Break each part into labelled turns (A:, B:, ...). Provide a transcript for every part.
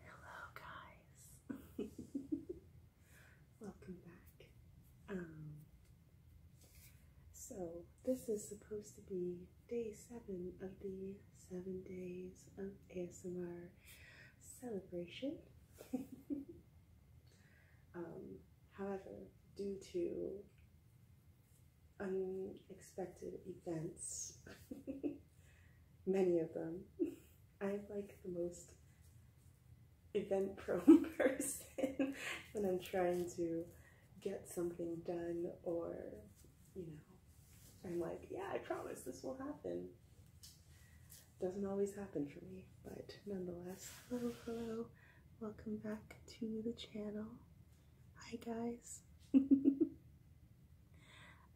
A: Hello,
B: guys. Welcome back. Um, so, this is supposed to be day seven of the seven days of ASMR celebration. Um, however, due to unexpected events, many of them. I'm like the most event prone person when I'm trying to get something done or, you know, I'm like, yeah, I promise this will happen. Doesn't always happen for me, but nonetheless, hello, hello. Welcome back to the channel. Hi guys.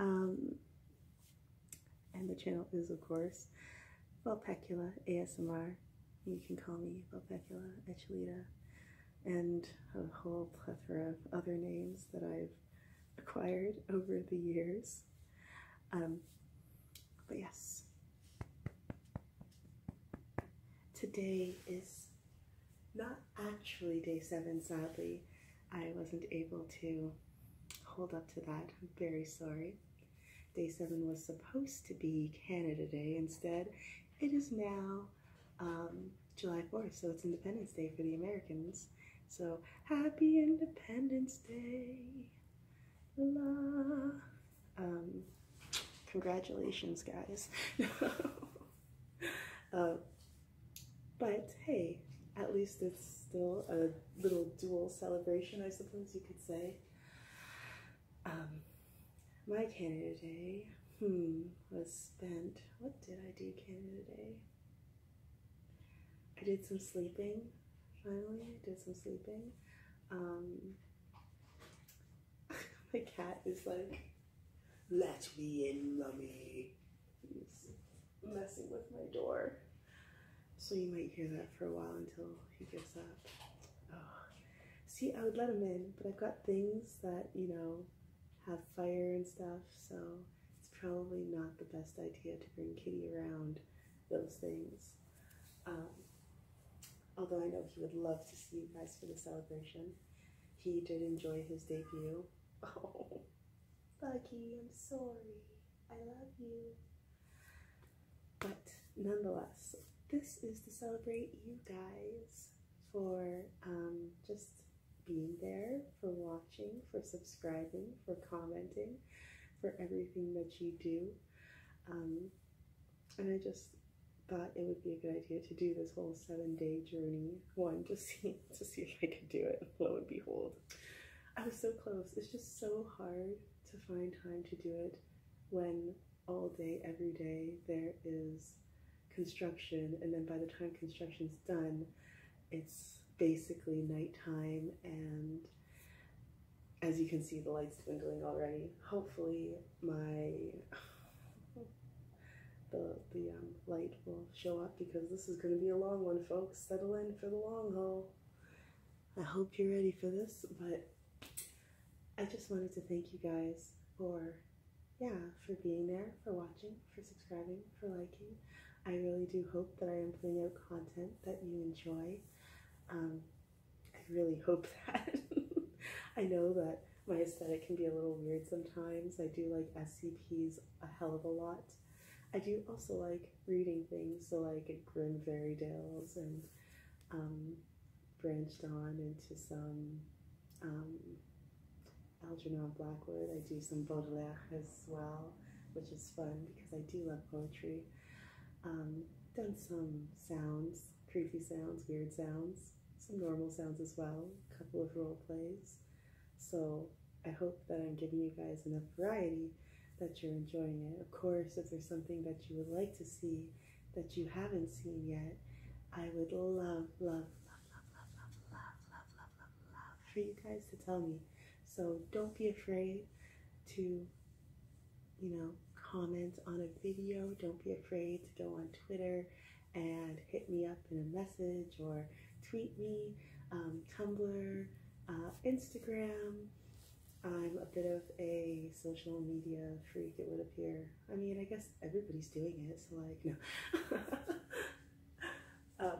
B: Um, and the channel is of course Valpecula ASMR. You can call me Valpecula, Echelita, and a whole plethora of other names that I've acquired over the years. Um, but yes, today is not actually day seven, sadly. I wasn't able to hold up to that. I'm very sorry. Day seven was supposed to be Canada Day. Instead, it is now um, July 4th, so it's Independence Day for the Americans. So, happy Independence Day! La. Um, congratulations, guys. Uh, but hey, at least it's still a little dual celebration, I suppose you could say. Um, my Canada Day, hmm, was spent. What did I do Canada Day? I did some sleeping. Finally, I did some sleeping. Um, my cat is like let me in, mummy. He's messing with my door. So you might hear that for a while until he gives up. See, I would let him in, but I've got things that, you know, have fire and stuff, so it's probably not the best idea to bring Kitty around those things. Um, although I know he would love to see you guys for the celebration. He did enjoy his debut. Buggy, I'm sorry. I love you. But nonetheless, this is to celebrate you guys for um, just being there, for watching, for subscribing, for commenting, for everything that you do. Um, and I just thought it would be a good idea to do this whole seven day journey one to see to see if I could do it. Lo and behold, I was so close. It's just so hard to find time to do it when all day, every day, there is construction, and then by the time construction's done, it's basically nighttime, and as you can see, the light's dwindling already. Hopefully, my the the um, light will show up because this is going to be a long one, folks. Settle in for the long haul. I hope you're ready for this, but I just wanted to thank you guys for, yeah, for being there, for watching, for subscribing, for liking. I really do hope that I am putting out content that you enjoy. Um, I really hope that. I know that my aesthetic can be a little weird sometimes. I do like SCPs a hell of a lot. I do also like reading things, so like Grim Fairy Tales and um, branched on into some um, Algernon Blackwood. I do some Baudelaire as well, which is fun because I do love poetry. Um, done some sounds, creepy sounds, weird sounds, some normal sounds as well, a couple of role plays. So I hope that I'm giving you guys enough variety that you're enjoying it. Of course, if there's something that you would like to see that you haven't seen yet, I would love, love, love,
C: love, love, love, love, love, love, for you guys
B: to tell me. So don't be afraid to, you know, comment on a video. Don't be afraid to go on Twitter and hit me up in a message or tweet me, um, Tumblr, uh, Instagram. I'm a bit of a social media freak, it would appear. I mean, I guess everybody's doing it, so like, no. Um,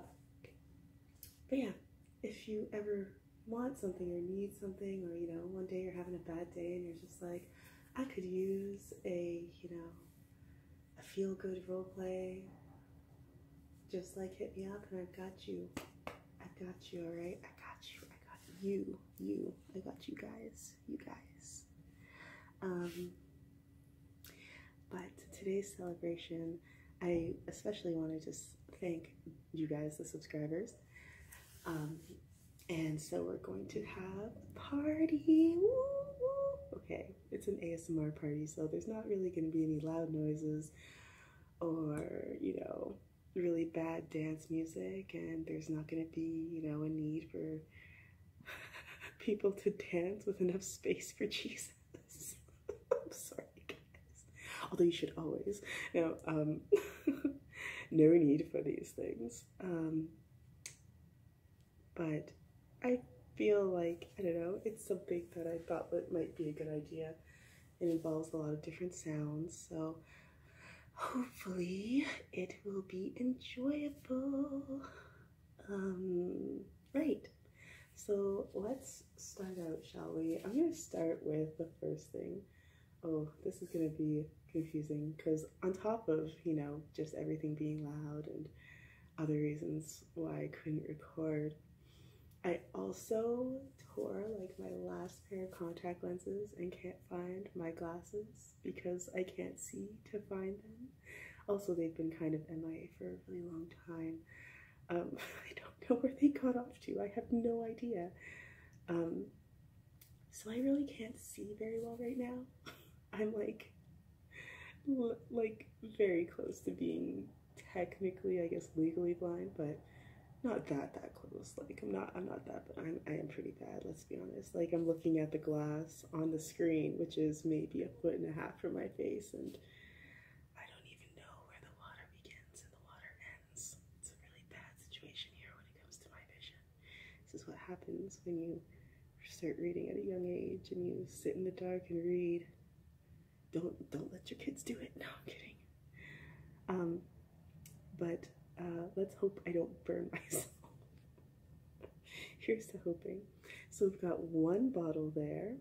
B: but yeah, if you ever want something or need something, or you know, one day you're having a bad day and you're just like, I could use a, you know, a feel good role play. Just like hit me up and I've got you. I got you, alright? I got you. I got you. You. I got you guys. You guys. Um, but today's celebration, I especially wanted to thank you guys, the subscribers. Um, and so we're going to have a party. Okay, it's an ASMR party, so there's not really going to be any loud noises or, you know, really bad dance music, and there's not going to be, you know, a need for people to dance with enough space for Jesus. sorry, guys. Although you should always. No, um, no need for these things. Um, but I feel like, I don't know, it's something that I thought might be a good idea. It involves a lot of different sounds, so hopefully it will be enjoyable. Um, right. So let's start out, shall we? I'm going to start with the first thing. Oh, this is going to be confusing because on top of, you know, just everything being loud and other reasons why I couldn't record. I also tore like my last pair of contact lenses and can't find my glasses because I can't see to find them. Also, they've been kind of MIA for a really long time. Um, I don't know where they got off to. I have no idea. Um, so I really can't see very well right now. I'm like like very close to being technically, I guess, legally blind, but not that that close. Like I'm not I'm not that, but I'm I am pretty bad. Let's be honest. Like I'm looking at the glass on the screen, which is maybe a foot and a half from my face, and I don't even know where the water
C: begins and the water ends. It's a really bad situation here when it comes to my
B: vision. This is what happens when you start reading at a young age and you sit in the dark and read. Don't don't let your kids do it. No, I'm kidding. Um, but uh, let's hope I don't burn myself. Here's to hoping. So we've got one bottle there.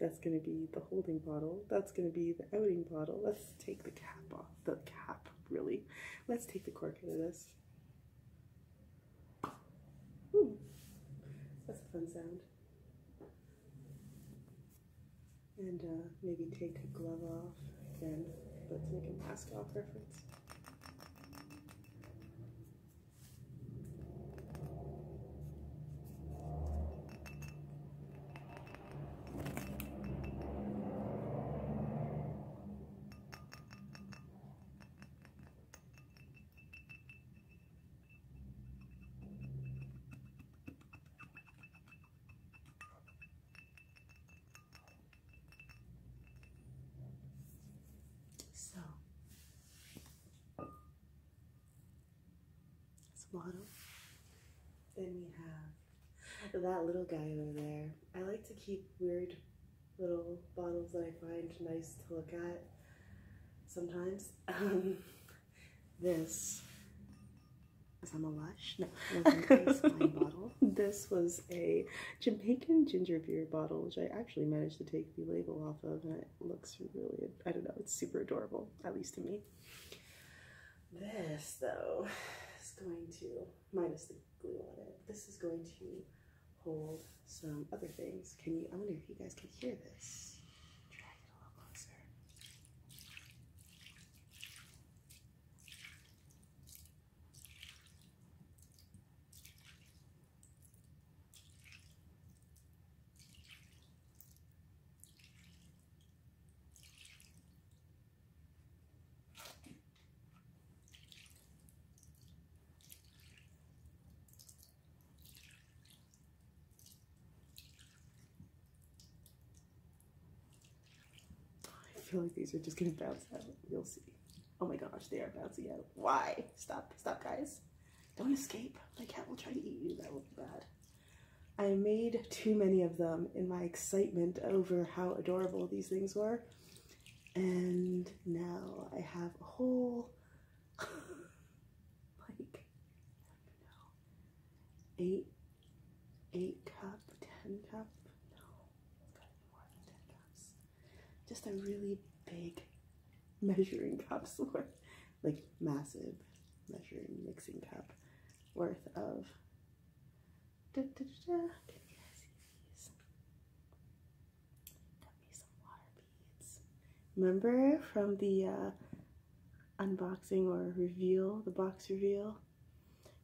B: That's gonna be the holding bottle. That's gonna be the outing bottle. Let's take the cap off. The cap, really. Let's take the cork out of this that's a fun sound. And uh, maybe take a glove off again. Let's make a mask off reference. So that's a model. Then we have that little guy over there. I like to keep weird little bottles that I find nice to look at sometimes. Um, this because I'm a lush. No, This was a Jamaican ginger beer bottle, which I actually managed to take the label off of, and it looks really, I don't know, it's super adorable, at least to me. This, though, is going to, minus the glue on it, this is going to hold some other things. Can you? I wonder if you guys can hear this. I feel like these are just gonna bounce out. You'll see. Oh my gosh, they are bouncing out. Why? Stop, stop guys. Don't escape. My cat will try to eat you. That will be bad. I made too many of them in my excitement over how adorable these things were. And now I have a whole like, eight, eight cup, ten cup, no, more than ten cups. Just a really big measuring cups worth, like massive measuring mixing cup worth of. Remember from the uh, unboxing or reveal, the box reveal?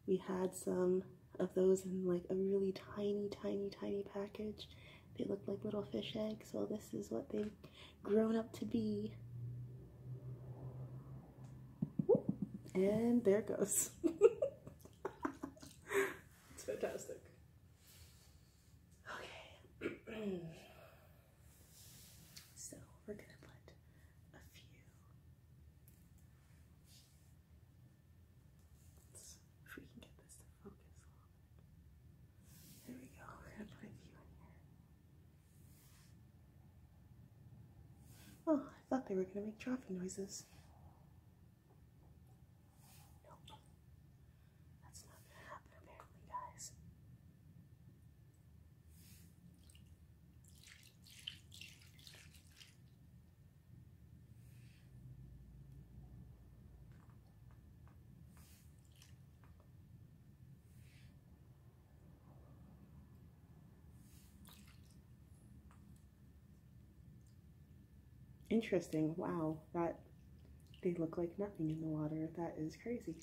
B: We had some of those in like a really tiny, tiny, tiny package. They look like little fish eggs. Well, this is what they've grown up to be. And there goes.
C: it's fantastic. Okay. so we're going to put a few if we can get this to focus There we go. We're going to put a few
B: in here. Oh, I thought they were going to make traffic noises.
C: Nope. That's not gonna happen apparently, guys.
B: Interesting. Wow, that they look like nothing in the water. That is crazy.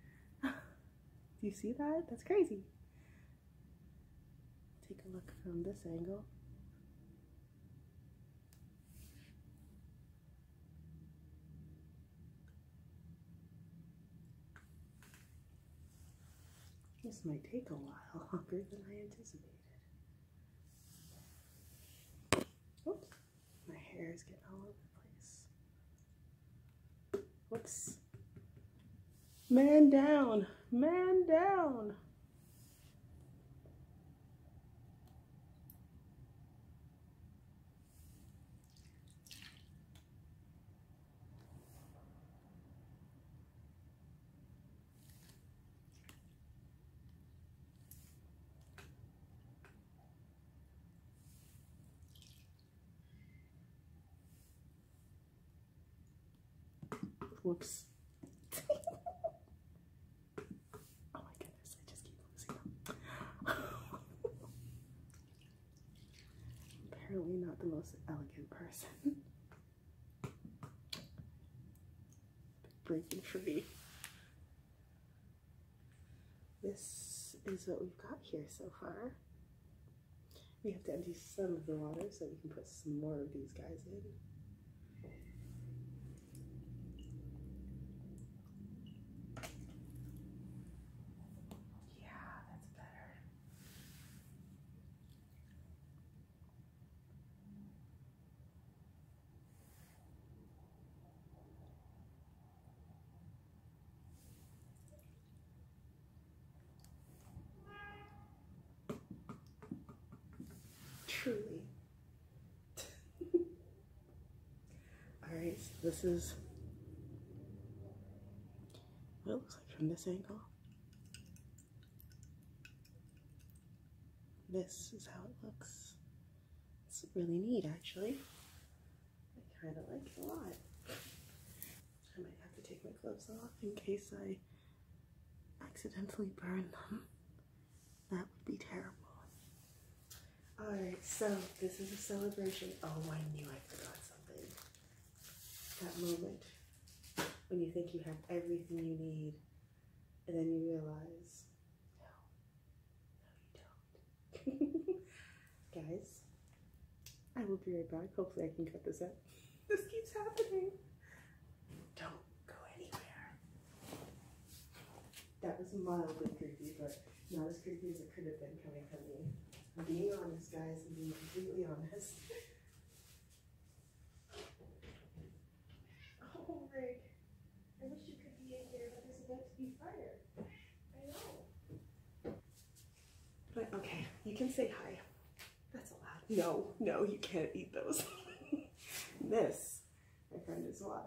B: Do you see that? That's crazy. Take a look from this angle. This might take a while longer than I anticipated. Oops. My hair is getting all over the place. Whoops. Man down. Man down.
A: Whoops. oh my goodness, I just keep
B: losing them. Apparently not the most elegant person. Breaking free. This is what we've got here so far. We have to empty some of the water so we can put some more of these guys in. Truly. All right, so this is what it looks like from this angle. This is how it looks. It's really neat, actually. I kind of like it a lot. I might have to take my gloves off in case I accidentally burn them. That would be terrible. Alright, so this is a celebration. Oh, I knew I forgot something. That moment when you think you have everything you need and then you realize, no, Guys, I will be right back. Hopefully I can cut this up. This keeps happening. Don't go anywhere. That was mildly creepy, but not as creepy as it could have been coming from me. I'm being honest, guys. I'm being completely honest. oh, Rick. I wish you could be in here, but there's about to be fired. I know. But okay, you can say hi. That's a lot. No, no, you can't eat those. this, my friend, is why.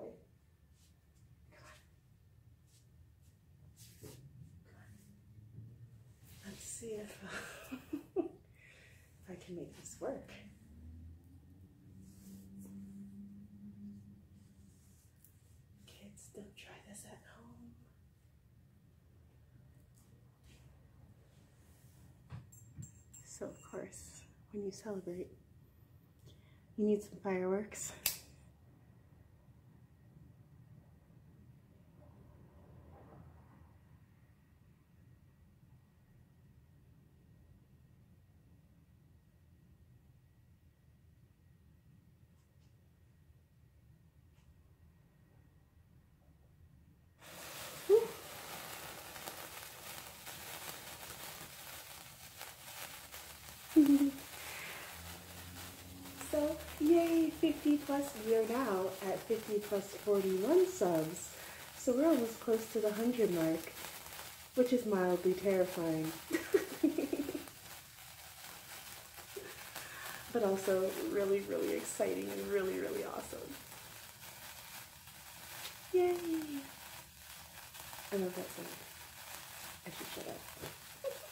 B: Let's see if I can make this work.
C: Kids, don't try this at home.
B: So, of course, when you celebrate, you need some fireworks. so, yay, 50 plus, we are now at 50 plus 41 subs. So we're almost close to the 100 mark which is mildly terrifying. but also really, really exciting and really, really awesome. Yay!
A: I love that sound. I should shut up.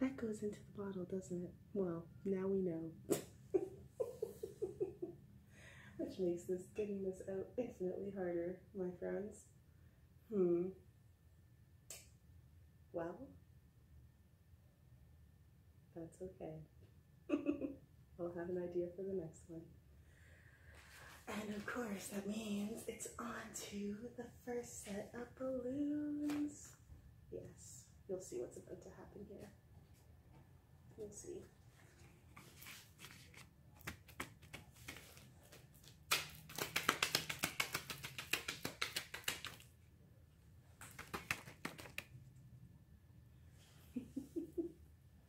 B: That goes into the bottle, doesn't it? Well, now we know. Which makes this getting this out infinitely harder, my friends. Hmm. Well, that's okay. I'll have an idea for the next one.
A: And of course,
B: that means it's on to the first set of balloons. Yes, you'll see what's about to happen here. You'll see.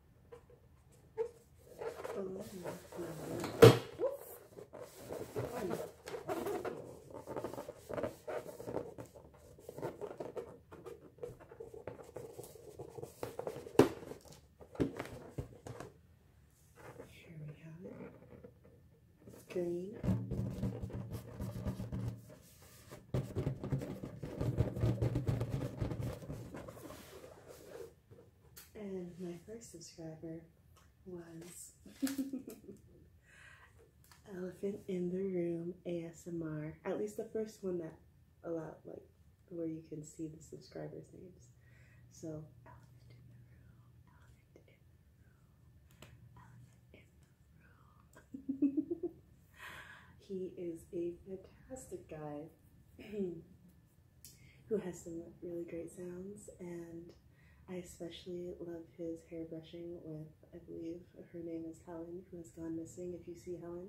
B: Here we have it. It's green. And my first subscriber was Elephant in the Room ASMR. At least the first one that allowed, like, where you can see the subscribers' names. So, Elephant in the Room, Elephant in the Room, Elephant in the Room. he is a fantastic guy. who has some really great sounds, and I especially love his hair brushing with, I believe her name is Helen, who has gone missing. If you see Helen,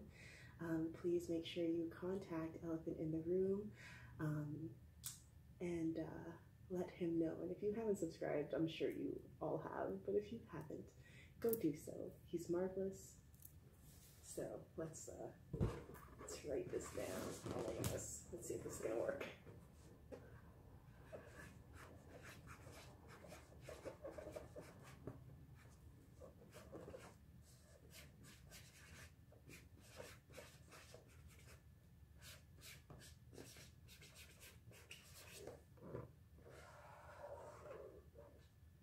B: um, please make sure you contact Elephant in the Room um, and uh, let him know. And if you haven't subscribed, I'm sure you all have, but if you haven't, go do so. He's marvelous, so let's uh, let's write this down, all us. Let's see if this is gonna work.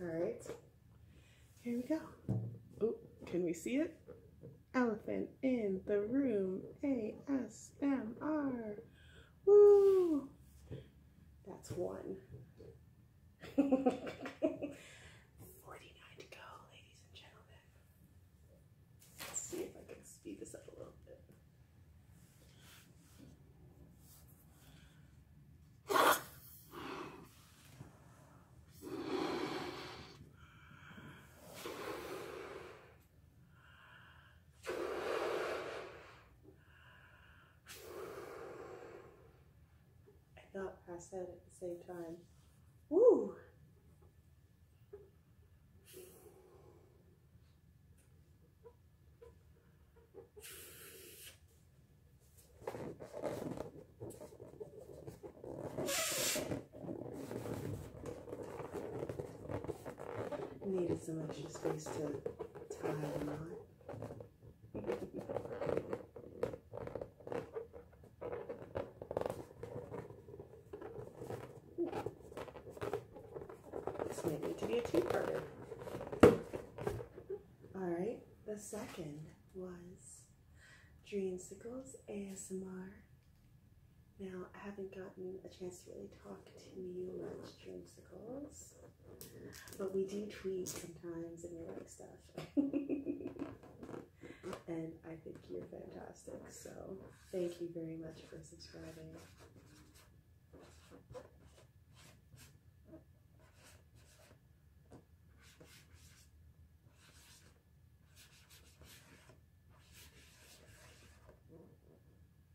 B: All right, here we go. Oh, can we see it? Elephant in the room, A-S-M-R. Woo! That's one. 49 to go,
C: ladies and gentlemen. Let's see if I can speed this up a little bit.
B: I not pass out at the same time. Woo! Needed some extra space to tie the knot. this might need to be a two-parter. Alright, the second was Dreamsicles ASMR now, I haven't gotten a chance to really talk to you much, Dreamsicles, but we do tweet sometimes and we like stuff. and I think you're fantastic, so thank you very much for subscribing.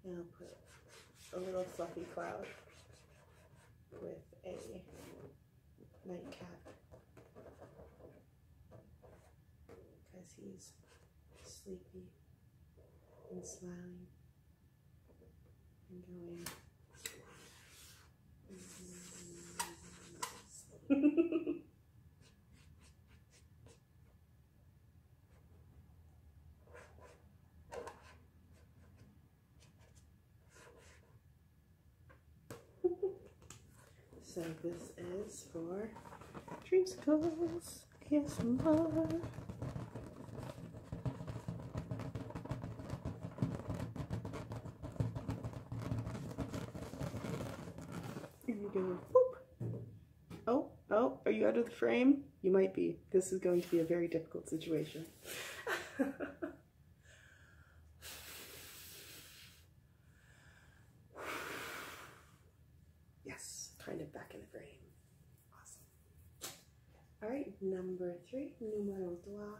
B: And I'll put a little fluffy cloud with a nightcap because he's sleepy and smiling and going. So this is for Dreamsicles ASMR. And you do Oh, oh, are you out of the frame? You might be. This is going to be a very difficult situation. yes, kind of back in the frame. Awesome. All right, number three, numero dos.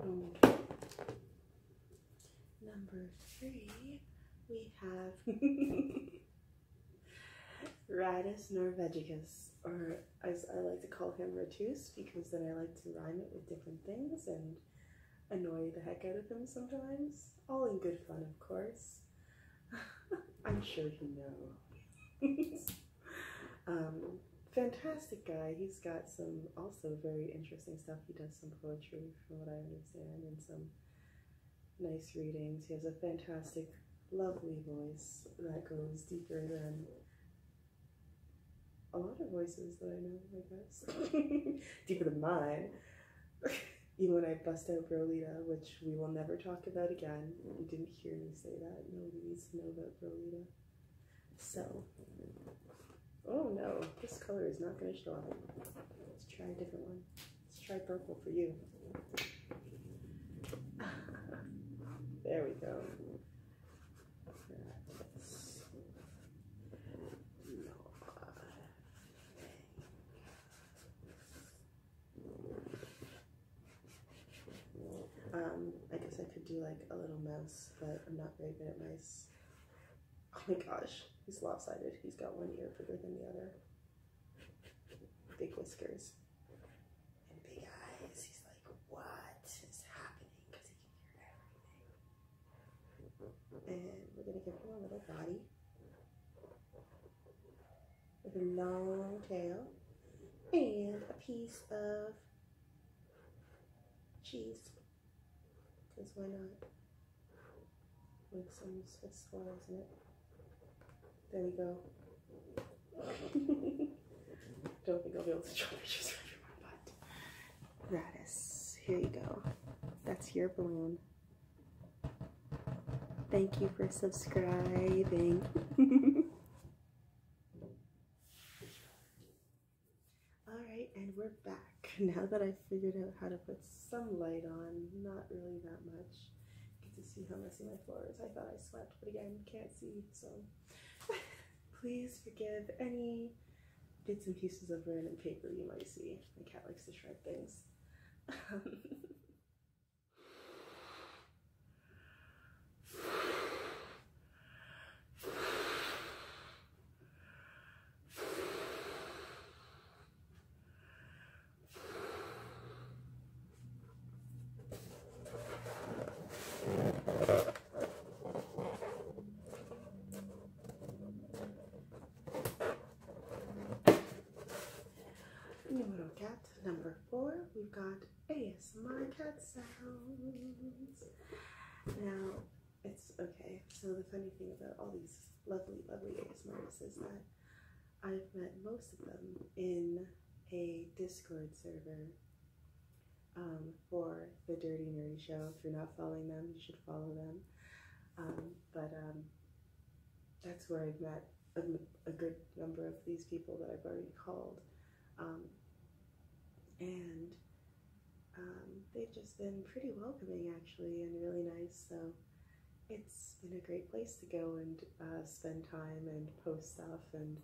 B: Um, number three, we have Radus norvegicus, or as I like to call him Ratus, because then I like to rhyme it with different things and annoy the heck out of him sometimes. All in good fun, of course. I'm sure you know. Um, fantastic guy. He's got some also very interesting stuff. He does some poetry, from what I understand, and some nice readings. He has a fantastic, lovely voice that goes deeper than a lot of voices that I know, I guess. deeper than mine. Even when I bust out Brolita, which we will never talk about again, you didn't hear me say that. Nobody needs to know about Brolita. So, oh no, this color is not going to show Let's try a different one. Let's try purple for you. there we go. Um, I guess I could do like a little mouse, but I'm not very good at mice. Oh my gosh, he's lopsided. He's got one ear bigger than the other. Big whiskers and big eyes. He's like, what is happening? And we're gonna give him a little body with a long tail and a piece of cheese. Because why not? Make some Swiss swirls in it. There we go. Don't think I'll be able to draw pictures for your butt. gratis. Here you go. That's your balloon. Thank you for subscribing. All right, and we're back. Now that I've figured out how to put some light on, not really that much. Get to see how messy my floor is. I thought I swept, but again, can't see, so please forgive any bits and pieces of random paper you might see. My cat likes to shred things. Um, Numero cat number four, we've got ASMR cat sounds. Now, it's okay. So the funny thing about all these lovely, lovely ASMRs is that I've met most of them in a Discord server um, for the Dirty Nerdy Show. If you're not following them, you should follow them. Um, but um, that's where I've met a good number of these people that I've already called. Um, and um, they've just been pretty welcoming, actually, and really nice. So it's been a great place to go and uh, spend time and post stuff and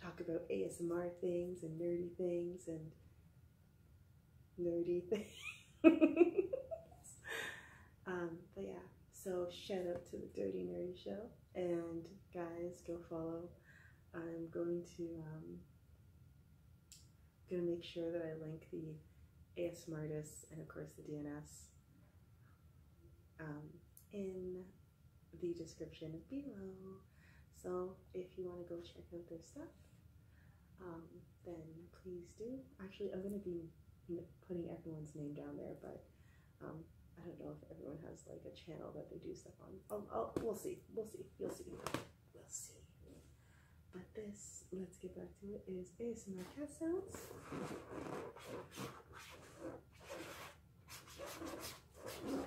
B: talk about ASMR things and nerdy things and nerdy things. um, but yeah, so shout out to the Dirty Nerdy Show. And guys, go follow I'm going to um, gonna make sure that I link the ASM artists and of course the DNS um, in the description below. So if you want to go check out their stuff, um, then please do. Actually, I'm gonna be putting everyone's name down there, but um, I don't know if everyone has like a channel that they do stuff on. oh, we'll see. We'll see. You'll see. We'll see. But this, let's get back to it, is ASMR cat sounds. And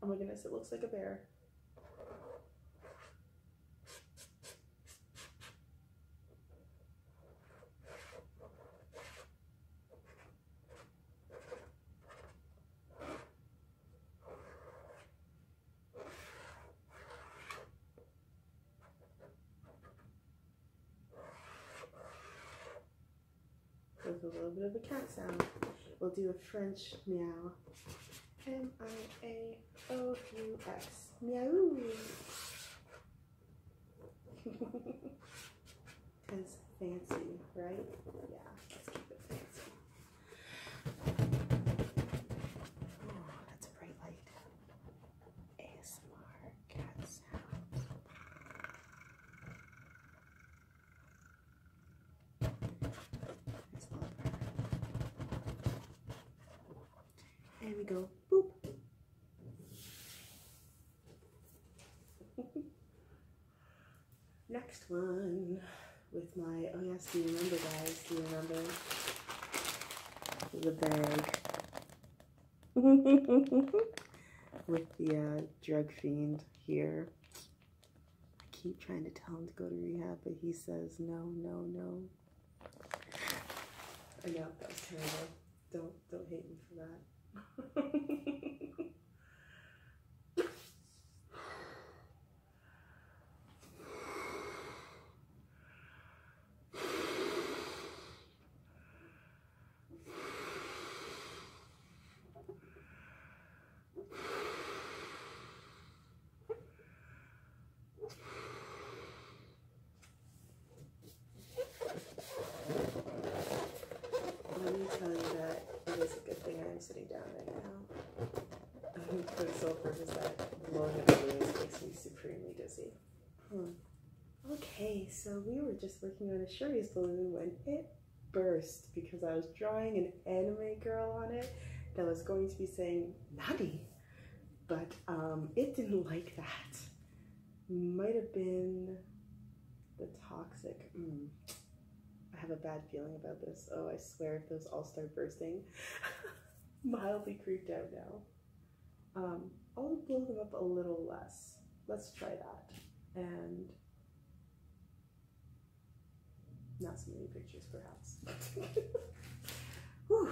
B: Oh my goodness, it looks like a bear. With a little bit of a cat sound. We'll do a French meow. M-I-A-O-U-X. Meow. Because fancy, right? Yeah, let's keep it fancy. Oh, that's a bright light.
C: ASMR cat sounds. It's over.
B: we go boop. Next one with my, oh yes, do you remember guys, do you remember the bag? with the uh, drug fiend here. I keep trying to tell him to go to rehab, but he says no, no, no.
A: I know that was terrible.
B: Don't don't hate me for that. Let me tell you that it is a good thing I am sitting down right now. Quicksilver is that blowing up makes me supremely dizzy. Okay, so we were just working on a Shuri's balloon when it burst because I was drawing an anime girl on it that was going to be saying Nani, but um, it didn't like that. Might have been the toxic. Mm, I have a bad feeling about this. Oh, I swear if those all start bursting, mildly creeped out now. I'll um, oh, blow them up a little less. Let's try that. And not so many pictures, perhaps. Whew,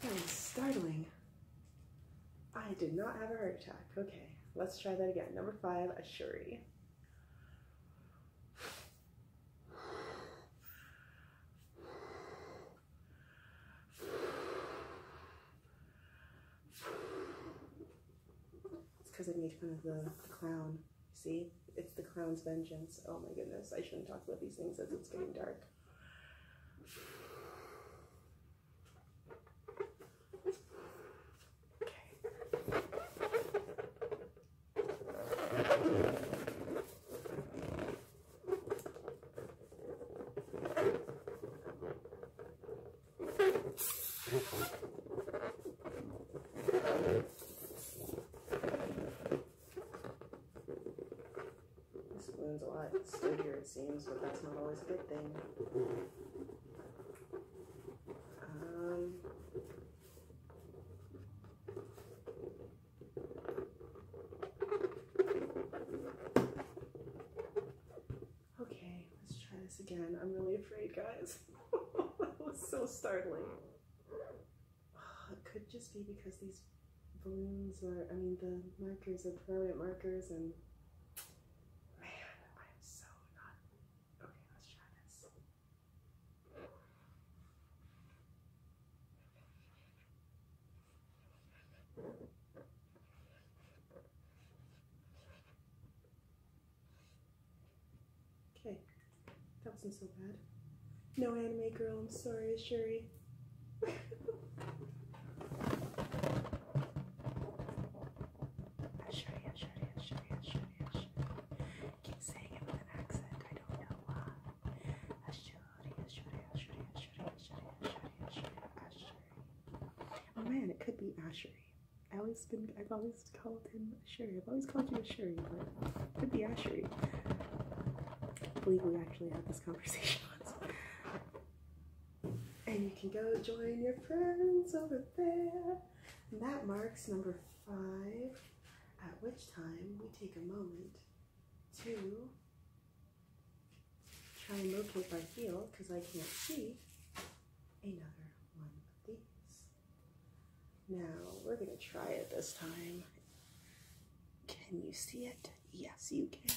B: that was startling. I did not have a heart attack. Okay, let's try that again. Number five, Ashuri. It's because I made kind of the, the clown. See? It's the clown's vengeance. Oh my goodness, I shouldn't talk about these things as it's getting dark. Okay. Spoon's a lot sturdier, it seems, but that's not always a good thing. Um, Okay, let's try this again. I'm really afraid, guys. that was so startling. it could just be because these balloons are, I mean, the markers are permanent markers and man, I am so not,
C: okay, let's try this.
B: Okay, that wasn't so bad. No anime girl, I'm sorry, Shuri. Shuri,
C: Shuri, Shuri, Shuri, Shuri. Keep saying it with an accent. I don't know why. Shuri, Shuri, Shuri, Shuri, Shuri, Shuri, Shuri, Shuri,
B: Oh man, it could be Ashuri. I always been I've always called him Ashuri. I've always called you Ashuri, but it could be Ashuri. I believe we actually had this conversation once. And you can go join your friends over there. And that marks number five, at which time we take a moment to try and locate my heel because I can't see another one of these. Now we're going to try it this time. Can you see it? Yes, you can.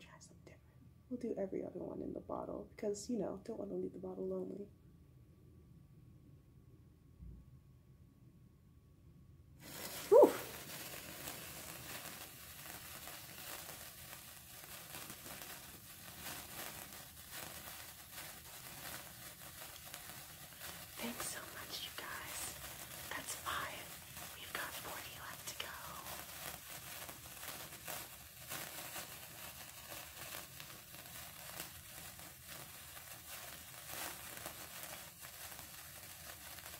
B: try something different. We'll do every other one in the bottle because, you know, don't want to leave the bottle
A: lonely. Whew.
C: Thanks so much, you guys. That's five. We've got 40 to go.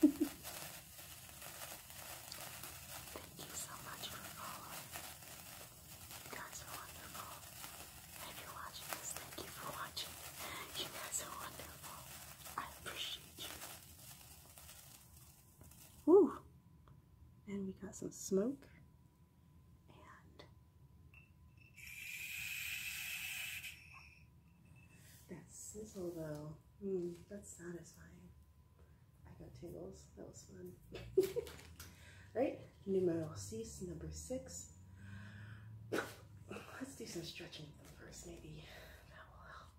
B: Thank you so much for following. You guys are wonderful. If you're watching thank you for watching. You guys are wonderful. I appreciate you. Woo! And we got some smoke and that sizzle though, hmm, that's satisfying. I got tables. that was fun. right, numero six, number six. Let's do some stretching first, maybe that will help.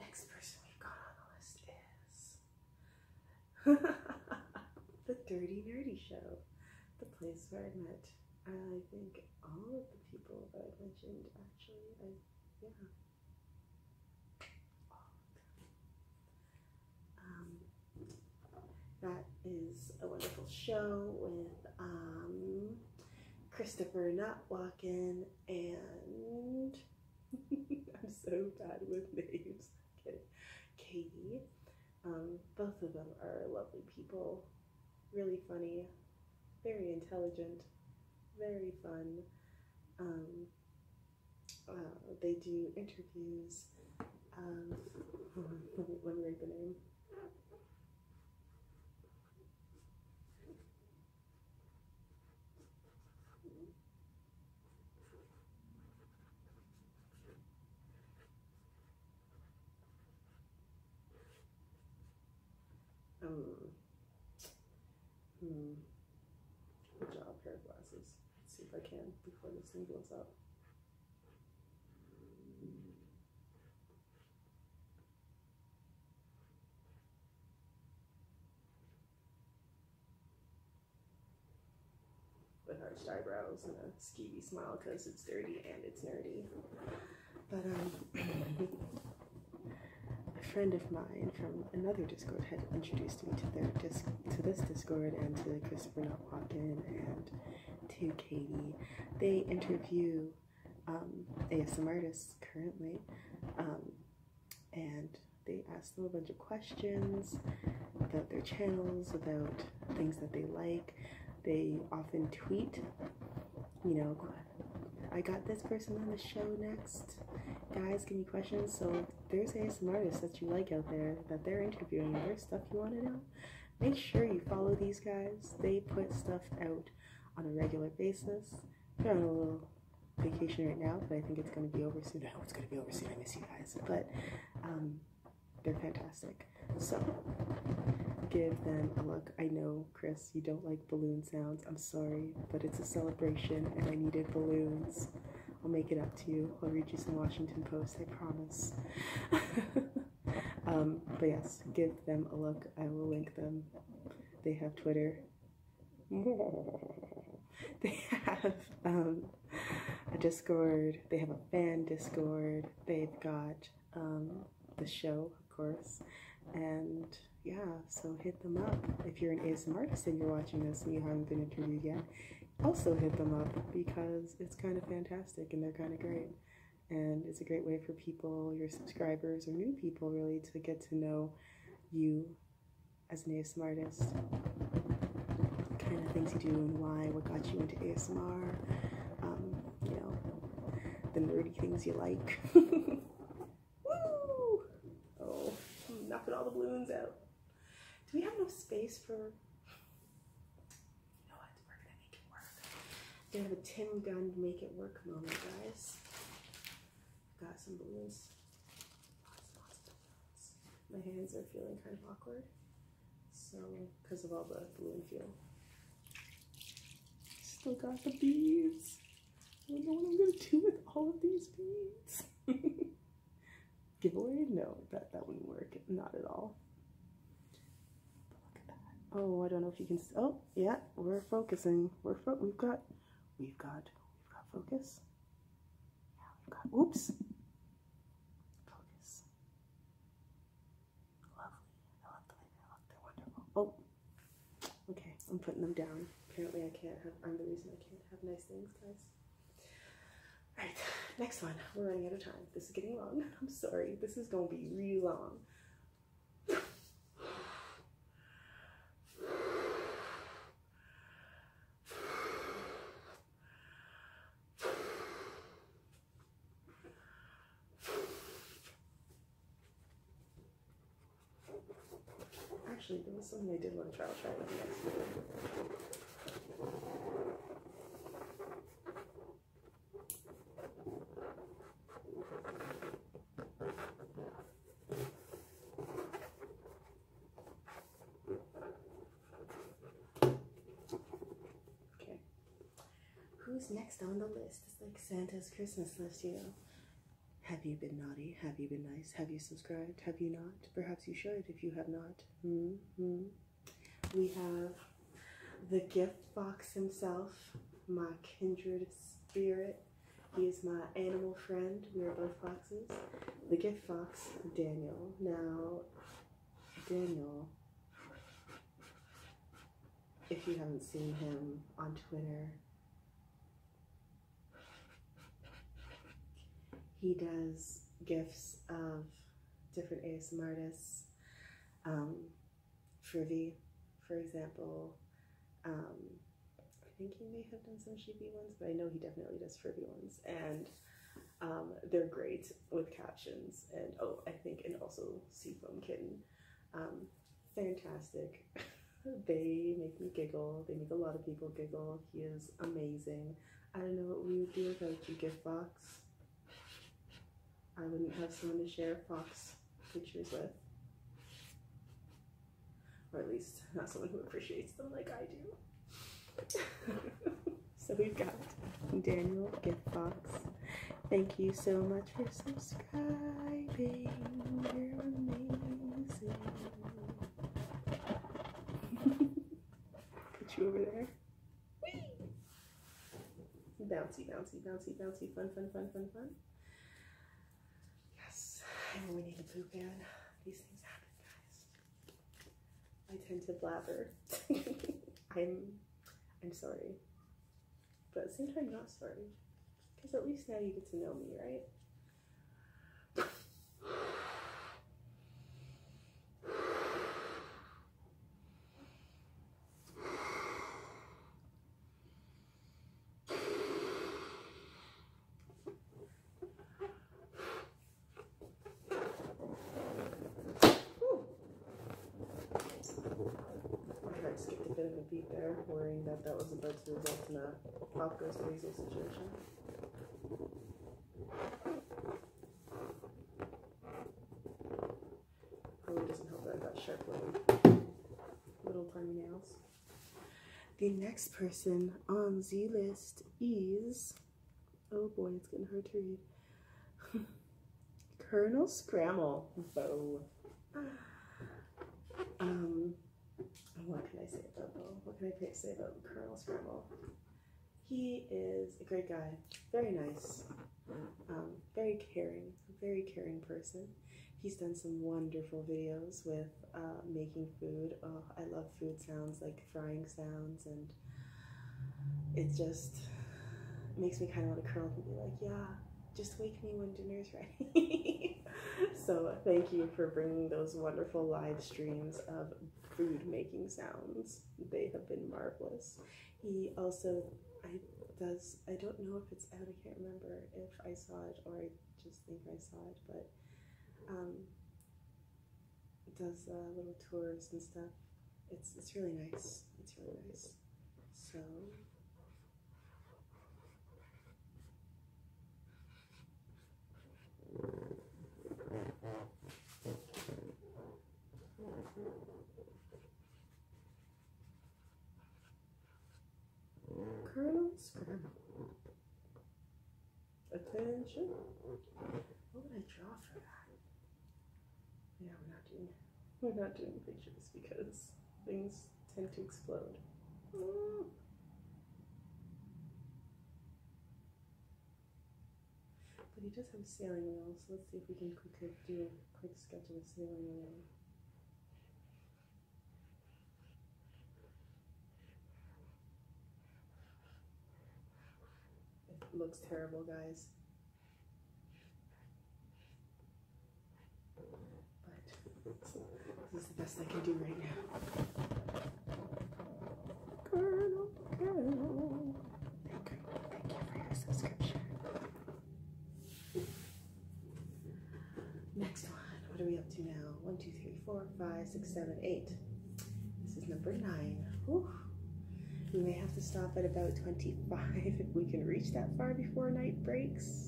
B: Next person we've got on the list is the Dirty Nerdy Show, the place where I met, I think, all of the people that I mentioned. Actually, I, yeah. Um, that is a wonderful show with um, Christopher Nutwalken and I'm so bad with names. Okay. Katie. Um, both of them are lovely people, really funny, very intelligent, very fun. Um, uh, they do interviews. Um, let me write the name.
A: Um, hmm.
B: Good job, pair of glasses. Let's see if I can before this thing blows up
C: with arched eyebrows and a skeevy smile because it's dirty and it's nerdy.
B: But um, a friend of mine from another Discord had introduced me to their disc to this Discord and to Christopher Not Walken and to Katie. They interview um, ASM artists currently. Um, and they ask them a bunch of questions about their channels, about things that they like. They often tweet, you know, I got this person on the show next. Guys, give me questions. So there's some artists that you like out there that they're interviewing, there's stuff you want to know. Make sure you follow these guys. They put stuff out on a regular basis. They're a little vacation right now, but I think it's going to be over soon. I hope it's going to be over soon. I miss you guys. But um, they're fantastic. So give them a look. I know, Chris, you don't like balloon sounds. I'm sorry, but it's a celebration and I needed balloons. I'll make it up to you. I'll read you some Washington Post, I promise. Um, but yes, give them a look. I will link them. They have Twitter. they have um, a Discord, they have a fan Discord, they've got um, the show, of course, and yeah, so hit them up. If you're an ASM artist and you're watching this and you haven't been interviewed yet, also hit them up because it's kind of fantastic and they're kind of great. And it's a great way for people, your subscribers or new people really, to get to know you as an ASMR artist, kind of things you do and why, what got you into ASMR, um, you know, the nerdy things you
A: like. Woo!
B: Oh, I'm knocking all the balloons out. Do we have enough space for, you know what, we're gonna make it work. Gonna have a Tim Gunn make it work moment, guys got some balloons. My hands are feeling kind of awkward. So, because of all the balloon feel. Still got the beads. I don't know what I'm going to do with all of these beads. Giveaway? No, that, that wouldn't work. Not at all. Oh, I don't know if you can see. Oh, yeah, we're focusing. We're we've got, we've got, we've got focus. Now we've got, oops, focus. Lovely. I love the way they look. wonderful. Oh, okay. I'm putting them down. Apparently I can't have, I'm the reason I can't have nice things, guys. All right, next one. We're running out of time. This is getting long. I'm sorry. This is going to be really long. Actually, there was something I did want to try. I'll try it next Okay. Who's next on the list? It's like Santa's Christmas list, you know. Have you been naughty? Have you been nice? Have you subscribed? Have you not? Perhaps you should if you have not. -hmm. We have the gift box himself, my kindred spirit. He is my animal friend. We are both the gift fox Daniel. Now, Daniel, if you haven't seen him on Twitter, he does gifts of different ASM artists. Um, for example, um, I think he may have done some Sheepy ones, but I know he definitely does Furby ones. And um, they're great with captions. And oh, I think, and also Seafoam Kitten. Um, fantastic. they make me giggle. They make a lot of people giggle. He is amazing. I don't know what we would do without the Gift Fox. I wouldn't have someone to share Fox pictures with or at least not someone who appreciates them like I do. so we've got Daniel Gift Box. Thank you so much for subscribing. You're amazing. Put you over there. Whee! Bouncy, bouncy, bouncy, bouncy, fun, fun, fun, fun, fun. Yes, and when we need a blue band, these things happen, guys. I tend to blabber. I'm I'm sorry. But at the same time not sorry. Because at least now you get to know me, right? I to get a bit of a beat there, worrying that that was about to result in a pop goes basil situation. Probably doesn't help that I got sharp little, little tiny nails. The next person on Z list is Oh boy, it's getting hard to read. Colonel Scramble. Bo. Um, what can I say about Bo? What can I say about Colonel Scramble? He is a great guy, very nice, um, very caring, very caring person. He's done some wonderful videos with uh, making food. Oh, I love food sounds. like frying sounds and it just makes me kind of want to curl up and be like, yeah, just wake me when dinner's ready. so thank you for bringing those wonderful live streams of food making sounds. They have been marvelous. He also I does I don't know if it's out, I can't remember if I saw it or I just think I saw it, but um, it does uh, little tours and stuff. It's it's really nice. It's really nice. So Colonel Sperm. Attention. What would I draw for that? Yeah, we're not doing we're not doing pictures because things tend to explode. Mm. But he does have a sailing wheel, so let's see if we can quickly do a quick sketch of a sailing wheel. It looks terrible, guys.
A: But this is the best I can do right now. Colonel, Colonel. Thank you, thank you for your subscription.
B: Next one. What are we up to now? One, two, three three, four, five, six, seven, eight. This is number nine. We may have to stop at about 25 if we can reach that far before night breaks.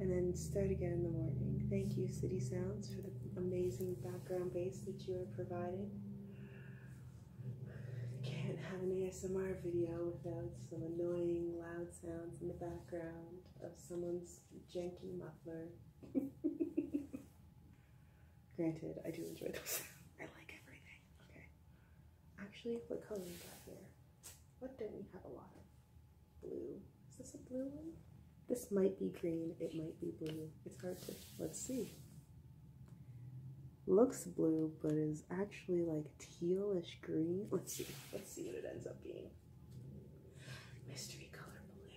B: And then start again in the morning. Thank you, City Sounds, for the amazing background bass that you are providing. Can't have an ASMR video without some annoying loud sounds in the background of someone's janky muffler. Granted, I do enjoy those. I like everything. Okay. Actually, what color we got here? What don't we have a lot of? Blue. Is this a blue one? This might be green. It might be blue. It's hard to. Let's see. Looks blue, but is actually like tealish green. Let's see. Let's see what it ends up being. Mystery color blue.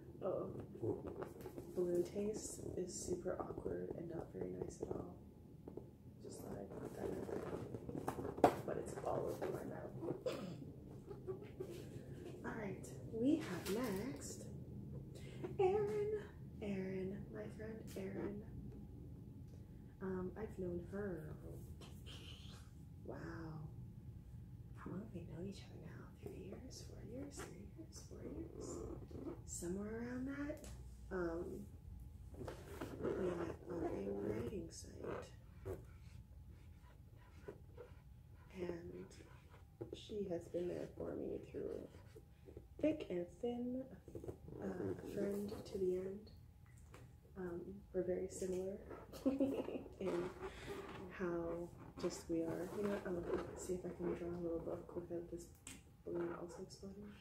B: Oh, balloon taste is super awkward and not very nice at all. Just thought I'd put that in there.
C: But it's all over my mouth.
B: Alright, we have next Erin. Erin, my friend Erin. Um, I've known her. Wow.
C: How long have we known each other now? three years, four years, three years, four years, somewhere around that. Um, we met
B: on a writing site, and she has been there for me through thick and thin, a uh, friend to the end. Um, we're very similar in how just we are. You know, um, see if I can draw a little book without this balloon also exploding.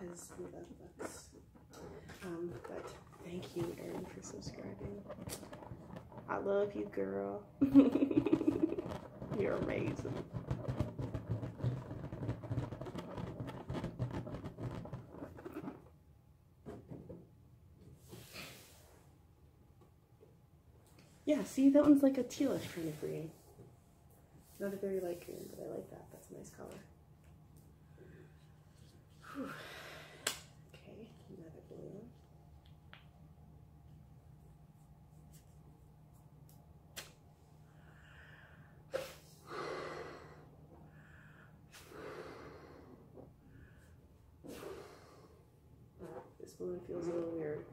B: Because we love books. Um, but thank you, Erin, for subscribing. I love you, girl. You're amazing. Yeah, see, that one's like a tealish kind of green. Not a very light green, but I like that. That's a nice color. Okay, another blue. This balloon feels a little weird.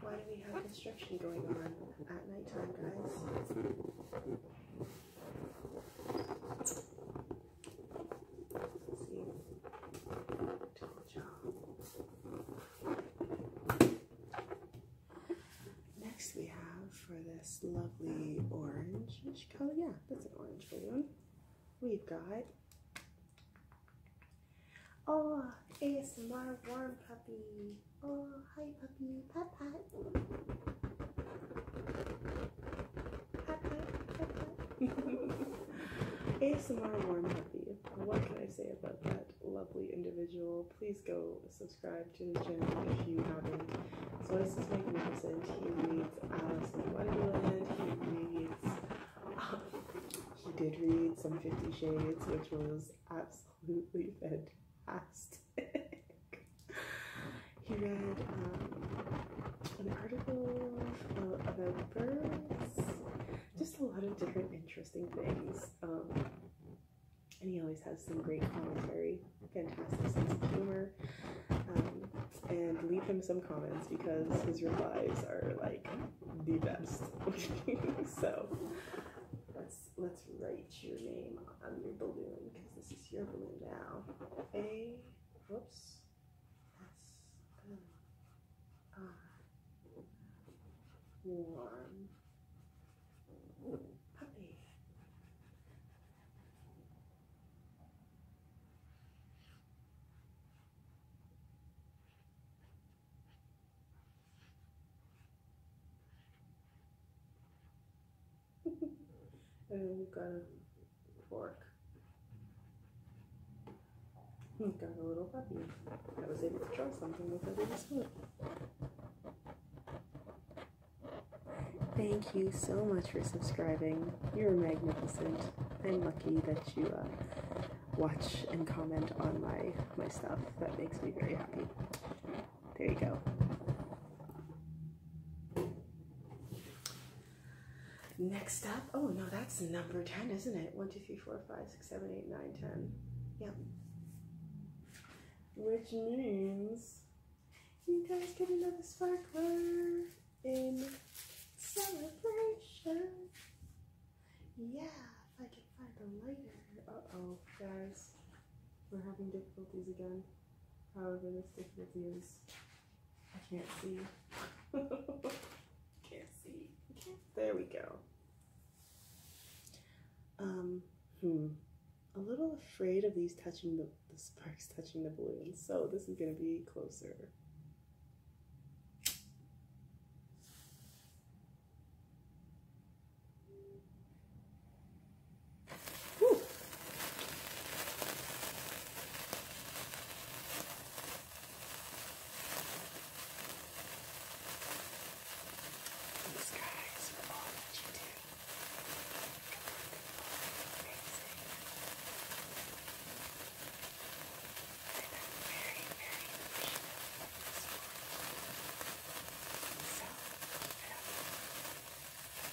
B: Why do we have construction going on at nighttime, guys? Next we have for this lovely orange color, oh yeah, that's an orange balloon. We've got Oh, ASMR warm puppy. Oh, hi puppy. Pat ASMR Warm happy. What can I say about that lovely individual? Please go subscribe to his channel if you haven't. His voice is magnificent. He reads Alice in Wonderland. He reads. he did read some Fifty Shades, which was absolutely fantastic. He read um, an article about birds, just a lot of different interesting things. Um, and he always has some great commentary, fantastic sense of humor. Um, and leave him some comments because his replies are like the best. so let's let's write your name on your balloon because this is your balloon now. A whoops.
A: Yes. Good.
B: Ah. Warm. Puppy. and we've got a fork. We've hmm, got a little puppy that was able to draw something with a little spoon. Thank you so much for subscribing. You're magnificent. I'm lucky that you uh, watch and comment on my, my stuff. That makes me very happy. There you go. Next up, oh no, that's number 10, isn't it? 1, 2, 3, 4, 5, 6, 7, 8, 9, 10. Yep. Which means you guys get another sparkler in celebration. Yeah, if I can find a lighter. Uh-oh, guys. We're having difficulties again. However, this difficulty is I can't see. can't see. There we go. Um, hmm. A little afraid of these touching the, sparks touching the balloons. so this is going to be closer.
C: These guys for all that you do. Come on, come on. Amazing. And I'm very, very emotional about this one. So, I don't know.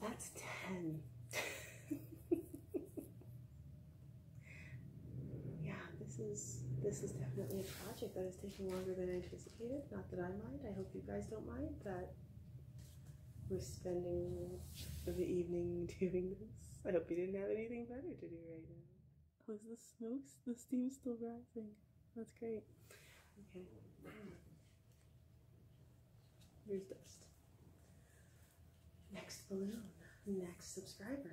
A: That's 10.
B: yeah, this is this is definitely a project that is taking longer than anticipated. Not that I mind. I hope you guys don't mind that we're spending the evening doing this. I hope you didn't have anything better to do right now. Was the smoke, the steam is still rising? That's great. Okay. There's dust. Next balloon. Next subscriber.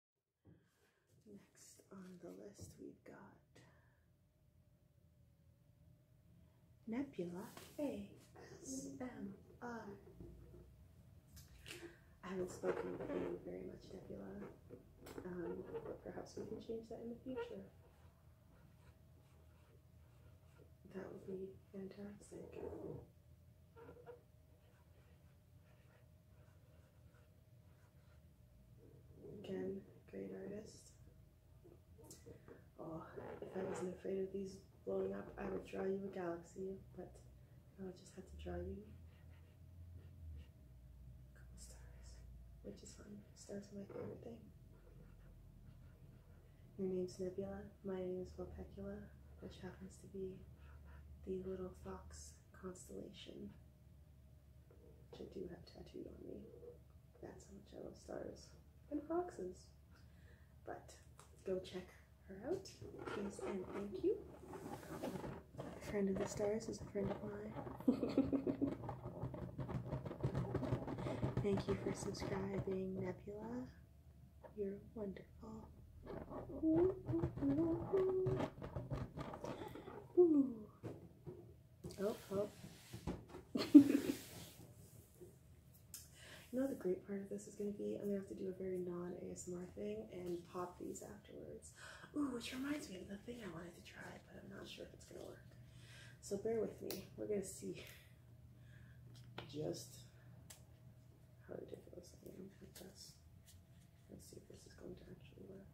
B: Next on the list, we've got Nebula A S M R. I haven't spoken with you very much, Nebula, um, but perhaps we can change that in the future. That would be fantastic. Again, great artist. Oh, if I wasn't afraid of these blowing up, I would draw you a galaxy, but now I just had to draw you a stars, which is fun. Stars are my favorite thing. Your name's Nebula, my name is Vulpecula, which happens to be the little fox constellation, which I do have tattooed on me. That's how much I love stars and foxes. But go check her out. Please and thank you. A friend of the stars is a friend of mine. thank you for subscribing, Nebula.
A: You're wonderful. Ooh, ooh, ooh, oh, oh. you
B: know the great part of this is going to be? I'm going to have to do a very non-ASMR thing and pop these afterwards.
C: Ooh, which reminds me of the thing I wanted to try,
B: but I'm not sure if it's going to work. So bear with me. We're going to see just how ridiculous I am with this. Let's see if this is going to actually work.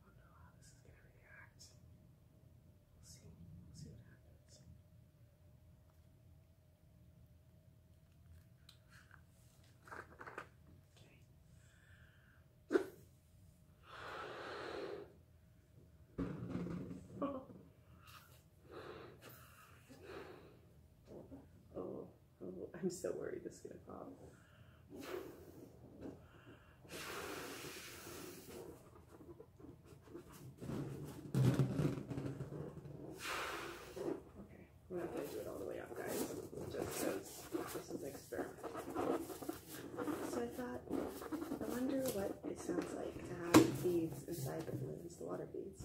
C: I don't know how this is going to react. We'll see. We'll see what happens. Oh.
B: oh, oh, I'm so worried this is gonna pop. Okay, we're not going to do it all the way up, guys, just because this is an experiment. So I thought, I wonder what it sounds like to have beads inside the balloons, the water beads.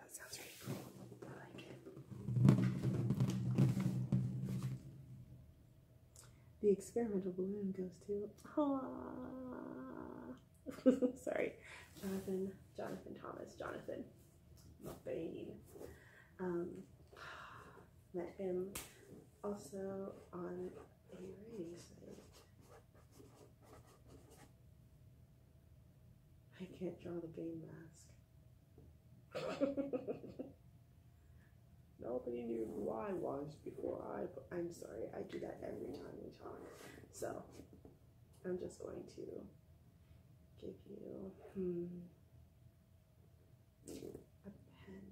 B: that sounds really cool. I like it. The experimental balloon goes to. Aww. Ah. Sorry, Jonathan, Jonathan Thomas, Jonathan Bain. Um, met him also on a radio site. I can't draw the game mask. Nobody knew why I was before I, I'm sorry, I do that every time we talk. So, I'm just going to give you hmm, a pen,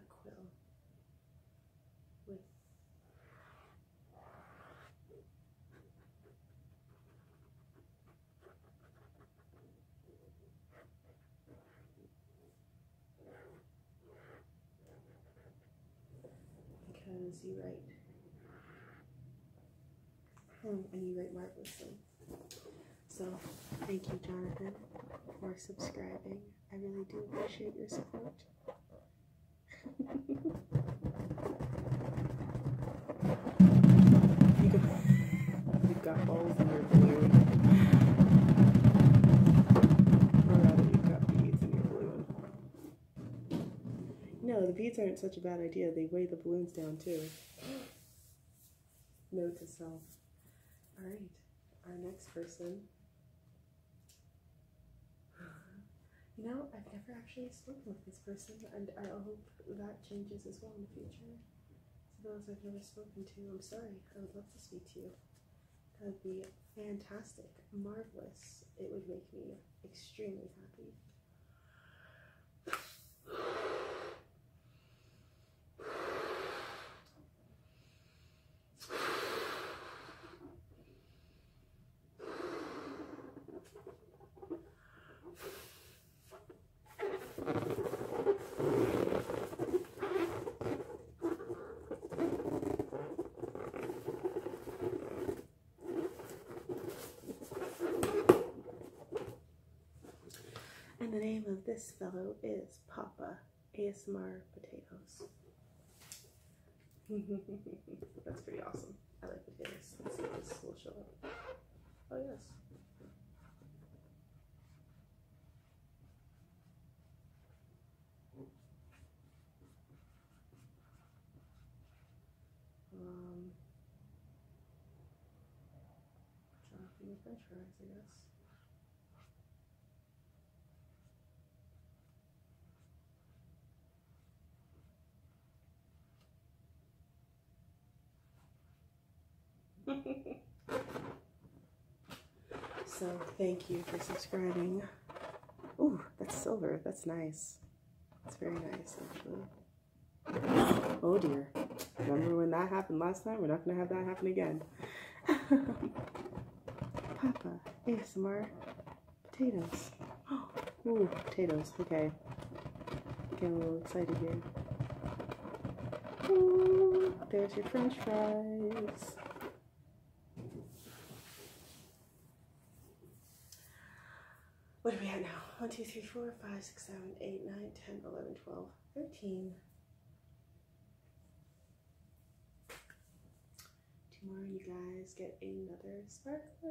B: a quill, with because you write, oh, and you write marvelously. So, thank you, Jonathan, for subscribing. I really do appreciate your support you
A: got balls in your balloon.
B: Or rather, you got beads in your balloon. No, the beads aren't such a bad idea. They weigh the balloons down too. Note to self. Alright, our next person you know, I've never actually spoken with this person, and I hope that changes as well in the future. To those I've never spoken to, I'm sorry. I would love to speak to you. That would be fantastic, marvelous. It would make me extremely happy.
A: And the name of this fellow is Papa ASMR Potatoes.
B: That's pretty awesome. I like the face. Let's see if this will show up. Oh,
A: yes. Um, dropping
B: french fries, I guess. so thank you for subscribing. Oh, that's silver. That's nice. That's very nice, actually. Oh dear. Remember when that happened last time? We're not going to have that happen again. Papa, ASMR, potatoes. Oh, potatoes. Okay. Getting a little excited here. there's your french fries. What are we at now? 1, 2, 3, 4, 5, 6, 7, 8, 9, 10, 11, 12, 13. Tomorrow you guys get another sparkler.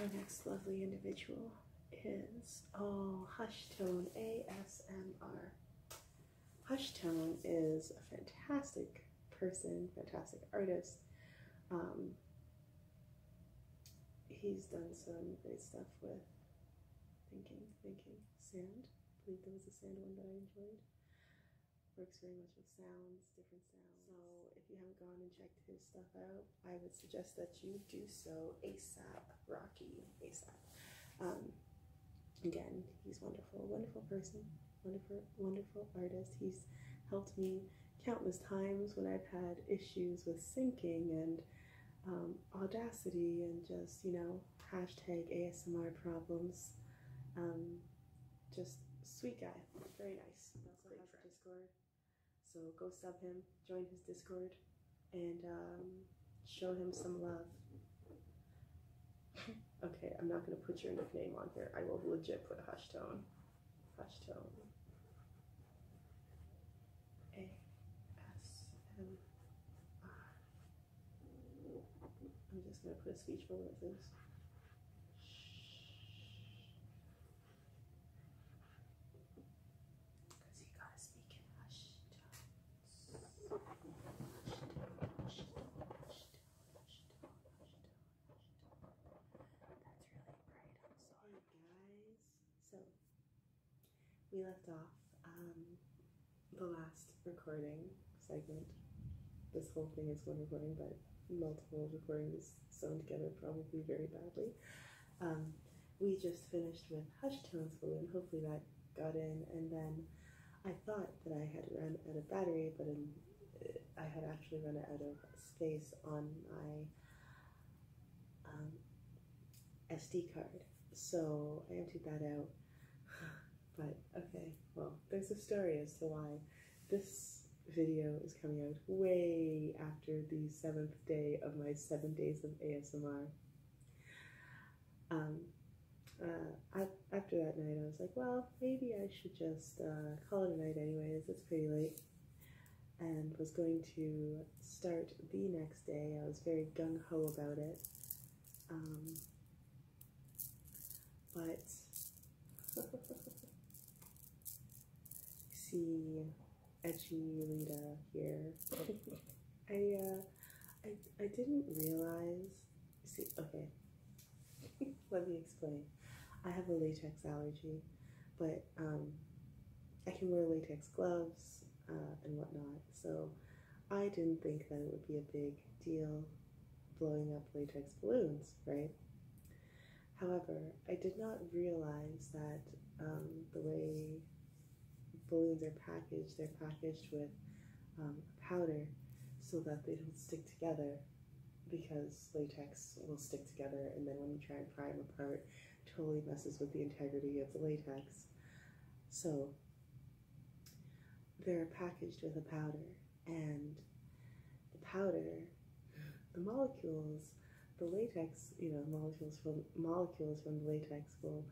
B: Our next lovely individual is oh hush tone ASMR. Hush tone is fantastic person, fantastic artist. Um, he's done some great stuff with thinking, thinking, sand. I believe there was a sand one that I enjoyed. Works very much with sounds, different sounds. So if you haven't gone and checked his stuff out, I would suggest that you do so ASAP, Rocky ASAP. Um, again, he's wonderful, wonderful person wonderful, wonderful artist. He's helped me countless times when I've had issues with syncing and um, audacity and just, you know, hashtag ASMR problems. Um, just sweet guy, very nice. He Great has Discord, so go sub him, join his Discord, and um, show him some love. okay, I'm not gonna put your nickname on here. I will legit put a hash tone. Fresh Tone I'm just going to put a speech bubble one this.
C: Because you got speak in hushed tone. That's
B: really great. sorry. guys. So we left off um, the last recording segment. This whole thing is one recording, but multiple recordings sewn together probably very badly. Um, we just finished with Hush Townsville, and hopefully that got in. And then I thought that I had run out of battery, but I had actually run out of space on my um, SD card, so I emptied that out. But okay, well, there's a story as to why this video is coming out way after the seventh day of my seven days of ASMR. Um, uh, after that night, I was like, well, maybe I should just uh, call it a night anyways. It's pretty late and was going to start the next day. I was very gung ho about it. Um, but see edgy Lita here. I uh, I I didn't realize see okay let me explain. I have a latex allergy, but um, I can wear latex gloves uh, and whatnot. So I didn't think that it would be a big deal blowing up latex balloons, right? However, I did not realize that um, the way balloons are packaged, they're packaged with um, powder so that they don't stick together because latex will stick together and then when you try and pry them apart totally messes with the integrity of the latex so they're packaged with a powder and the powder the molecules the latex you know molecules from molecules from the latex will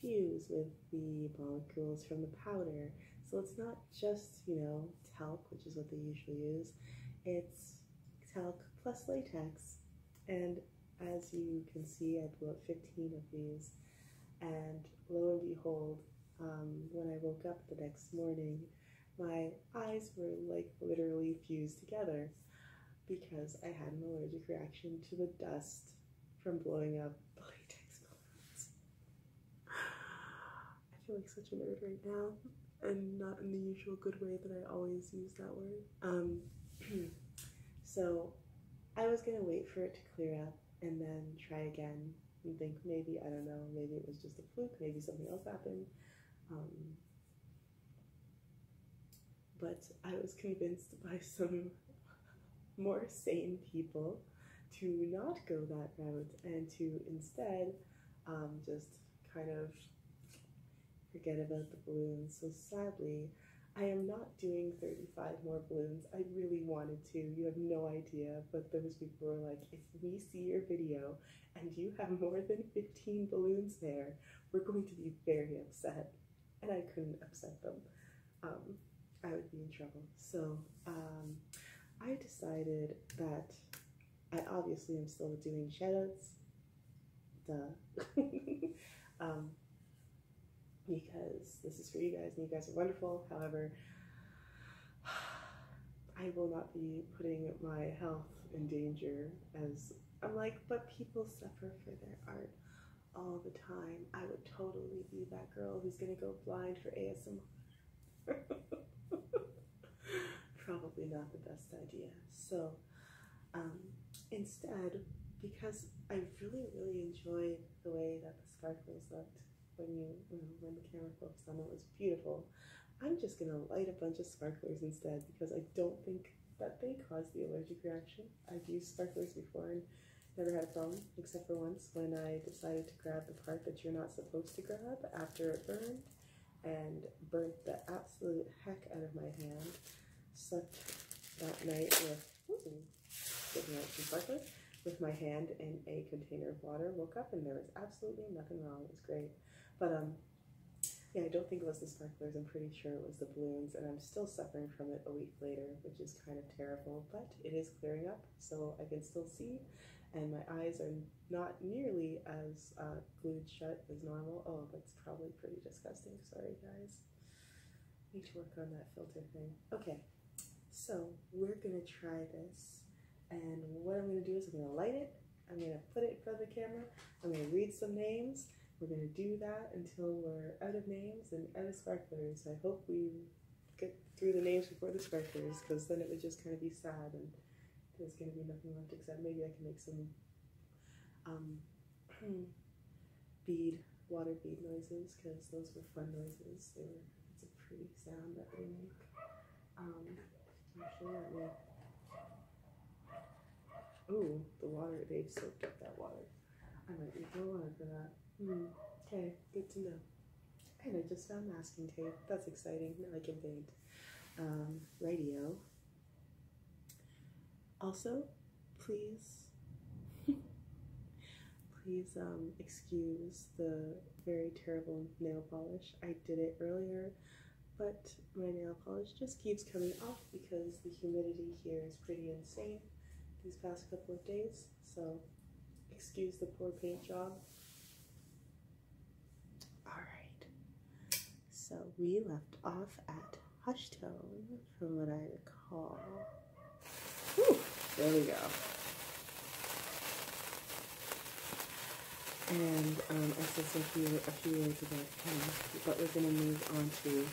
B: fuse with the molecules from the powder so it's not just you know talc, which is what they usually use. It's talc plus latex. And as you can see, I blew up 15 of these. And lo and behold, um, when I woke up the next morning, my eyes were like literally fused together because I had an allergic reaction to the dust from blowing up the latex balloons. I feel like such a nerd right now, and not in the usual good way that I always use that word. Um, so I was gonna wait for it to clear up and then try again and think maybe, I don't know, maybe it was just a fluke, maybe something else happened. Um, but I was convinced by some more sane people to not go that route and to instead um, just kind of forget about the balloons. So sadly, I am not doing 35 more balloons. I really wanted to, you have no idea, but those people were like, if we see your video and you have more than 15 balloons there, we're going to be very upset. And I couldn't upset them. Um, I would be in trouble. So um, I decided that I obviously am still doing shoutouts, duh, um, because this is for you guys and you guys are wonderful. However, I will not be putting my health in danger as I'm like, but people suffer for their art all the time. I would totally be that girl who's gonna go blind for ASMR. Probably not the best idea. So um, instead, because I really, really enjoyed the way that the sparklers looked when you, when the camera focused on it, it was beautiful. I'm just gonna light a bunch of sparklers instead because I don't think that they cause the allergic reaction. I've used sparklers before and never had a problem, except for once when I decided to grab the part that you're not supposed to grab after it burned and burnt the absolute heck out of my hand. Slept that night with, ooh, sparklers, with my hand in a container of water. Woke up and there was absolutely nothing wrong. It was great. But, um, yeah, I don't think it was the sparklers. I'm pretty sure it was the balloons, and I'm still suffering from it a week later, which is kind of terrible, but it is clearing up, so I can still see, and my eyes are not nearly as uh, glued shut as normal. Oh, that's probably pretty disgusting. Sorry, guys. Need to work on that filter thing. Okay, so we're gonna try this, and what I'm gonna do is I'm gonna light it. I'm gonna put it in front of the camera. I'm gonna read some names. We're gonna do that until we're out of names and out of sparklers. I hope we get through the names before the sparklers, because then it would just kind of be sad and there's going to be nothing left except maybe I can make some um, bead, water bead noises because those were fun noises. They were, it's a pretty sound that they make. Um, I'm sure that will. Ooh, the water, they've soaked up that water. I might need more water for that. Hmm, okay, mm. good to know. And I just found masking tape. That's exciting. Now I can paint. Um, radio. Also, please, please um, excuse the very terrible nail polish. I did it earlier, but my nail polish just keeps coming off because the humidity here is pretty insane these past couple of days. So, excuse the poor paint job. Alright, so we left off at Hush Tone, from what I recall.
A: there we go. And um, I said a few, a few words about him, but we're going to move on to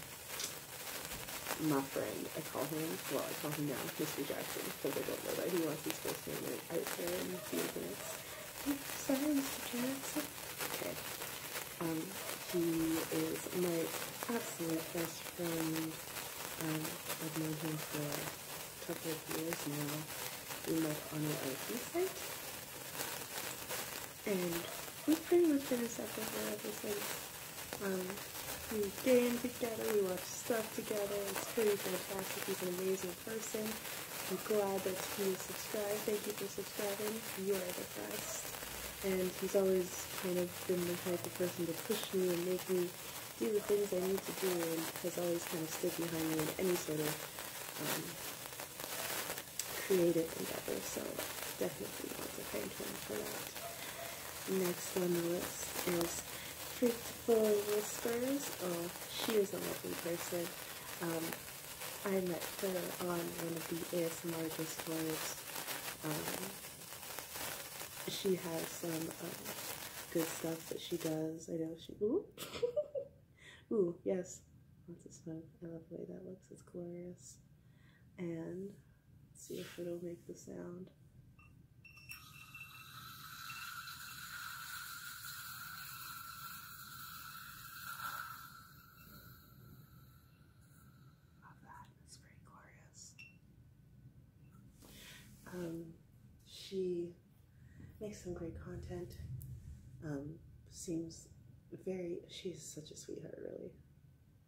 A: my friend, I call him, well, I call him now
B: Mr. Jackson, because I don't know that he wants his first name, and I was saying, Sorry, Mr. Jackson. Good. Um, he is my
A: absolute best friend. Um, I've known him for a couple of years now. We met on an IT site. And
B: we've pretty much been inseparable ever since. Um, we game together, we watch stuff together, it's pretty fantastic, he's an amazing person. I'm glad that you subscribed. Thank you for subscribing. You are the best. And he's always kind of been the type of person to push me and make me do the things I need to do and has always kind of stood behind me in any sort of um, creative endeavor. So definitely want to thank him for that. Next on the list is Fruitful Whispers. Oh, she is a lovely person. Um, I met her on one of the ASMR Discords. Um, she has some um, good stuff that she does. I know she. Ooh, ooh yes. Lots of smoke. I love the way that looks. It's glorious. And see if it'll make the sound. Love that. It's very glorious. Um, she makes some great content. Um, seems very, she's such a sweetheart, really.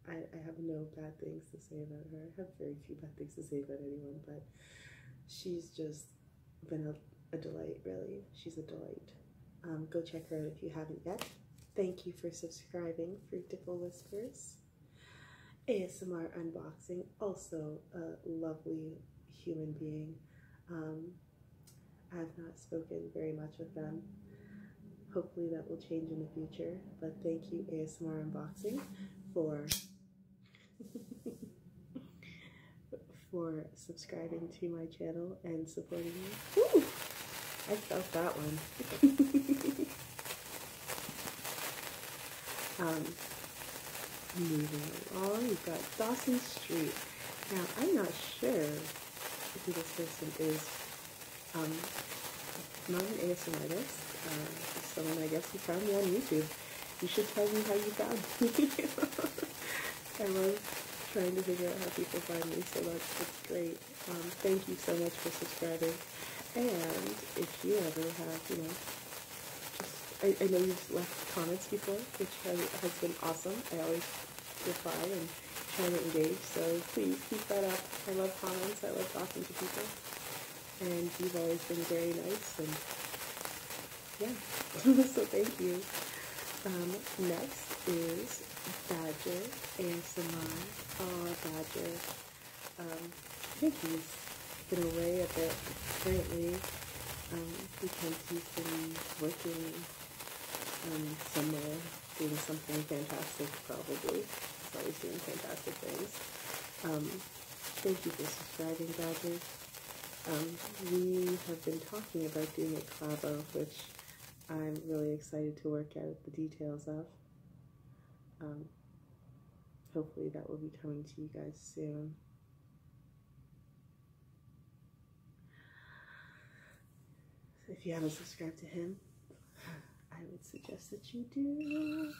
B: I, I have no bad things to say about her. I have very few bad things to say about anyone, but she's just been a, delight, really. She's a delight. Um, go check her out if you haven't yet. Thank you for subscribing, Fruitical Whispers. ASMR Unboxing, also a lovely human being. Um, I've not spoken very much with them. Hopefully that will change in the future, but thank you ASMR Unboxing for for subscribing to my channel and supporting me. I felt that one. um, moving along, we've got Dawson Street. Now, I'm not sure who this person is. Um, not an ASM um, someone I guess you found me on YouTube. You should tell me how you found me. I love trying to figure out how people find me, so that's, that's great. Um, thank you so much for subscribing. And if you ever have, you know, just, I, I know you've left comments before, which has, has been awesome. I always reply and try to engage, so please keep that up. I love comments. I love talking to people. And you've always been very nice and yeah. so thank you. Um, next is Dodger ASMR. Oh, Dodger. Um, I think he's been away a bit recently. um, because he's been working um, somewhere doing something fantastic, probably. He's always doing fantastic things. Um, thank you for subscribing, Dodger. Um, we have been talking about doing a collabo, which I'm really excited to work out the details of. Um, hopefully that will be coming to you guys soon. if you haven't subscribed to him, I would suggest that you do.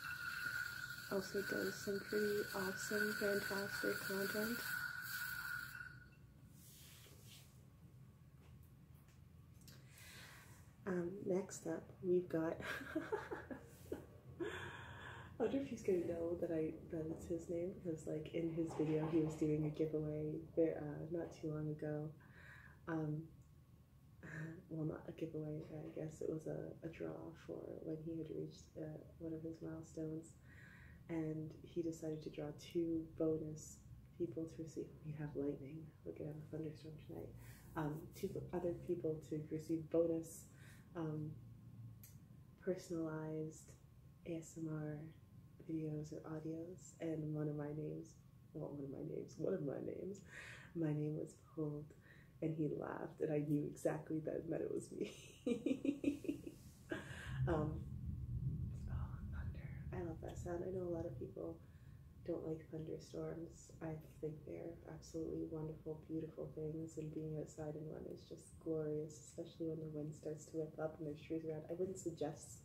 B: Also does some pretty awesome, fantastic content. Um, next up, we've got. I wonder if he's gonna know that I that it's his name because, like, in his video, he was doing a giveaway there, uh, not too long ago. Um, well, not a giveaway, I guess it was a, draw for when he had reached uh, one of his milestones and he decided to draw two bonus people to receive. We have lightning. We're going to have a thunderstorm tonight. Um, two other people to receive bonus um, personalized ASMR videos and audios, and one of my names, well, one of my names, one of my names, my name was pulled, and he laughed, and I knew exactly that that it was me. um, oh, thunder. I love that sound. I know a lot of people don't like thunderstorms. I think they're absolutely wonderful, beautiful things, and being outside in one is just glorious, especially when the wind starts to whip up and there's trees around. I wouldn't suggest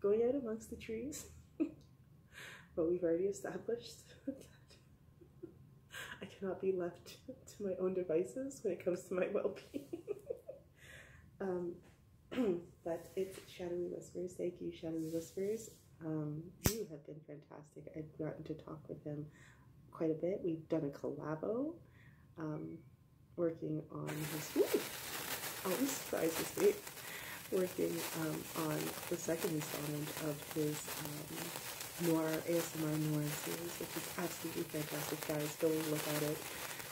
B: going out amongst the trees, but we've already established that I cannot be left to my own devices when it comes to my well-being um, but it's Shadowy Whispers. Thank you, Shadowy Whispers. Um, you have been fantastic. I've gotten to talk with him quite a bit. We've done a collabo, um, working on his ooh, always surprises me. Working um, on the second installment of his um, noir ASMR noir series, which is absolutely fantastic, guys. Go look at it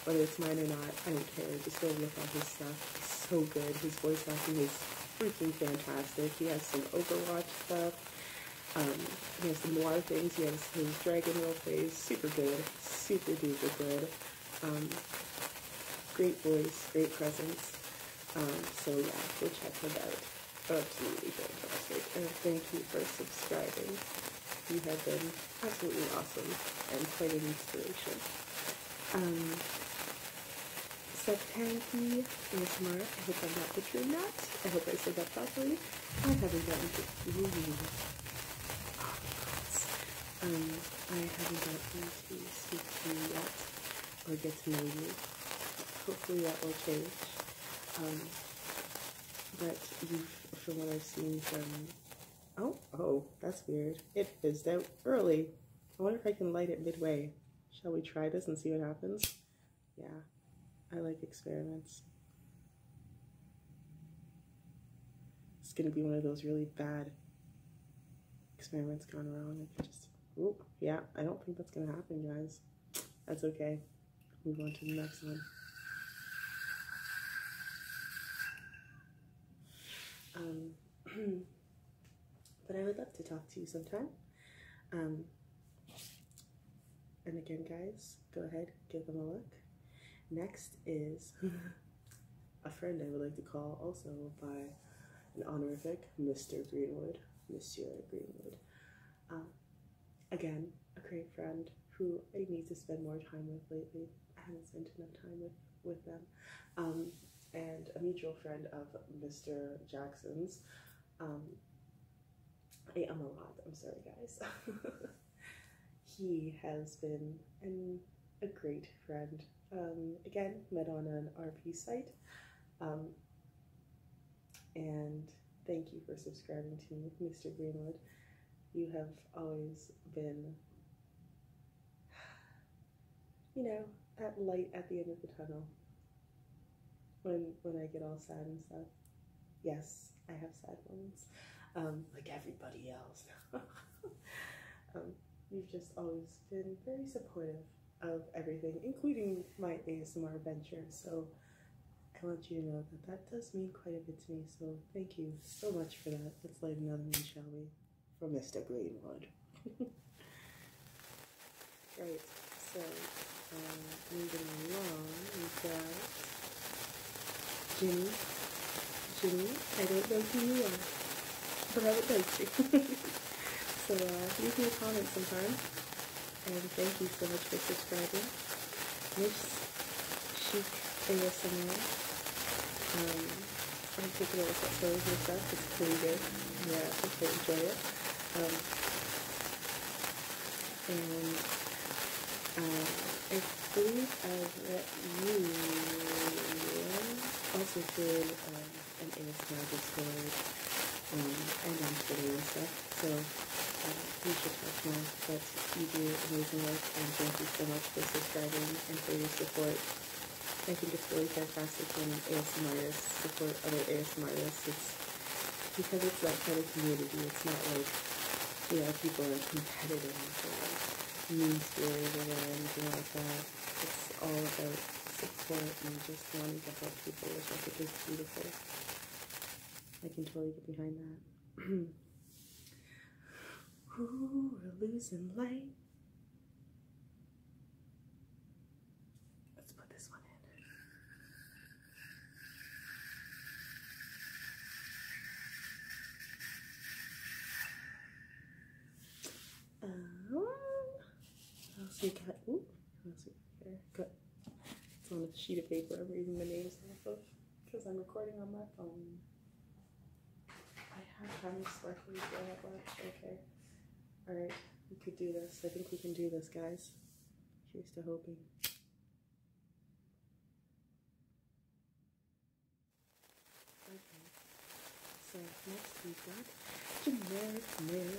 B: whether it's mine or not, I don't care. Just go look at his stuff. It's so good. His voice acting is freaking fantastic. He has some Overwatch stuff. Um, he has some noir things. He has his Dragon Real phase. Super good. Super duper good. Um, great voice. Great presence. Um, so yeah, go check him out. Absolutely fantastic. And thank you for subscribing. You have been absolutely awesome and quite an inspiration. Um, Septanki ASMR, I hope I'm not butchering that. I hope I said that properly. I haven't gotten to ooh, oh, um, I haven't gotten to speak to you yet or get to know you. Hopefully that will change. Um, but from what I've seen from, oh, oh, that's weird. It fizzed out early. I wonder if I can light it midway. Shall we try this and see what happens? Yeah, I like experiments. It's gonna be one of those really bad experiments gone wrong. just, oh, yeah, I don't think that's gonna happen, guys. That's okay. Move on to the next one. Um, but I would love to talk to you sometime. Um, and again, guys, go ahead, give them a look. Next is a friend I would like to call also by an honorific Mr. Greenwood, Monsieur Greenwood. Um, again, a great friend who I need to spend more time with lately. I haven't spent enough time with, with them. Um, and a mutual friend of Mr. Jackson's. Um, I am a lot, I'm sorry guys. he has been an, a great friend. Um, again, met on an RP site. Um, and thank you for subscribing to me, Mr. Greenwood. You have always been, you know, that light at the end of the tunnel. When when I get all sad and stuff, yes, I have sad moments, um, like
C: everybody else.
B: you've um, just always been very supportive of everything, including my ASMR venture. So I want you to know that that does mean quite a bit to me. So thank you so much for that. Let's light another one, shall we? For Mr. Greenwood. Great.
A: So um, moving along, we've got Jimmy. Jimmy, I don't know who you are, but I would like
B: to. so uh, leave me a comment sometime. And thank you so much for subscribing. Miss Chic ASMR. Um, I'm taking over some photos and stuff. It's pretty good. Yeah, I hope they
A: enjoy it. Um, and uh, I believe I let you
B: also did um, an ASMR Discord um, and I'm and stuff. So uh, you should talk more, but you do amazing work and thank you so much for subscribing and for your support. I think it's really fantastic when ASM artists support other ASM artists. It's because it's like kind of community. It's not like, you know, people are competitive or mean-spirited or anything like that. It's all about support and just wanting to help people, which I think is beautiful. I can totally get behind that. Ooh, we're losing light. Let's put this one in.
A: Um, what else we got?
B: Ooh, what else here? Got it's on a sheet of paper I'm reading the names off of because I'm recording on my phone. I have time to select I have Okay. Alright, we could do this. I think we can do this, guys. Here's to hoping.
A: Okay. So next we've got generic mail.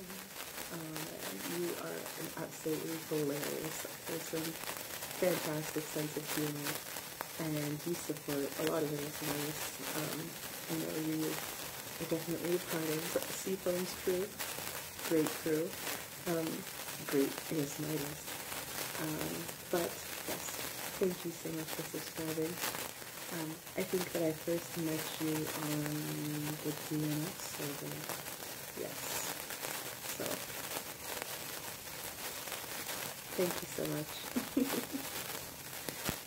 A: Um, you are an absolutely hilarious
B: has some fantastic sense of humor, and he supports a lot of the listeners. Um, I know you are definitely a part of Seafoam's crew, great crew, um, great ASMITers. Um, but yes, thank you so much for subscribing. Um, I think that I first met you on the DNS server. Yes. So Thank you so much.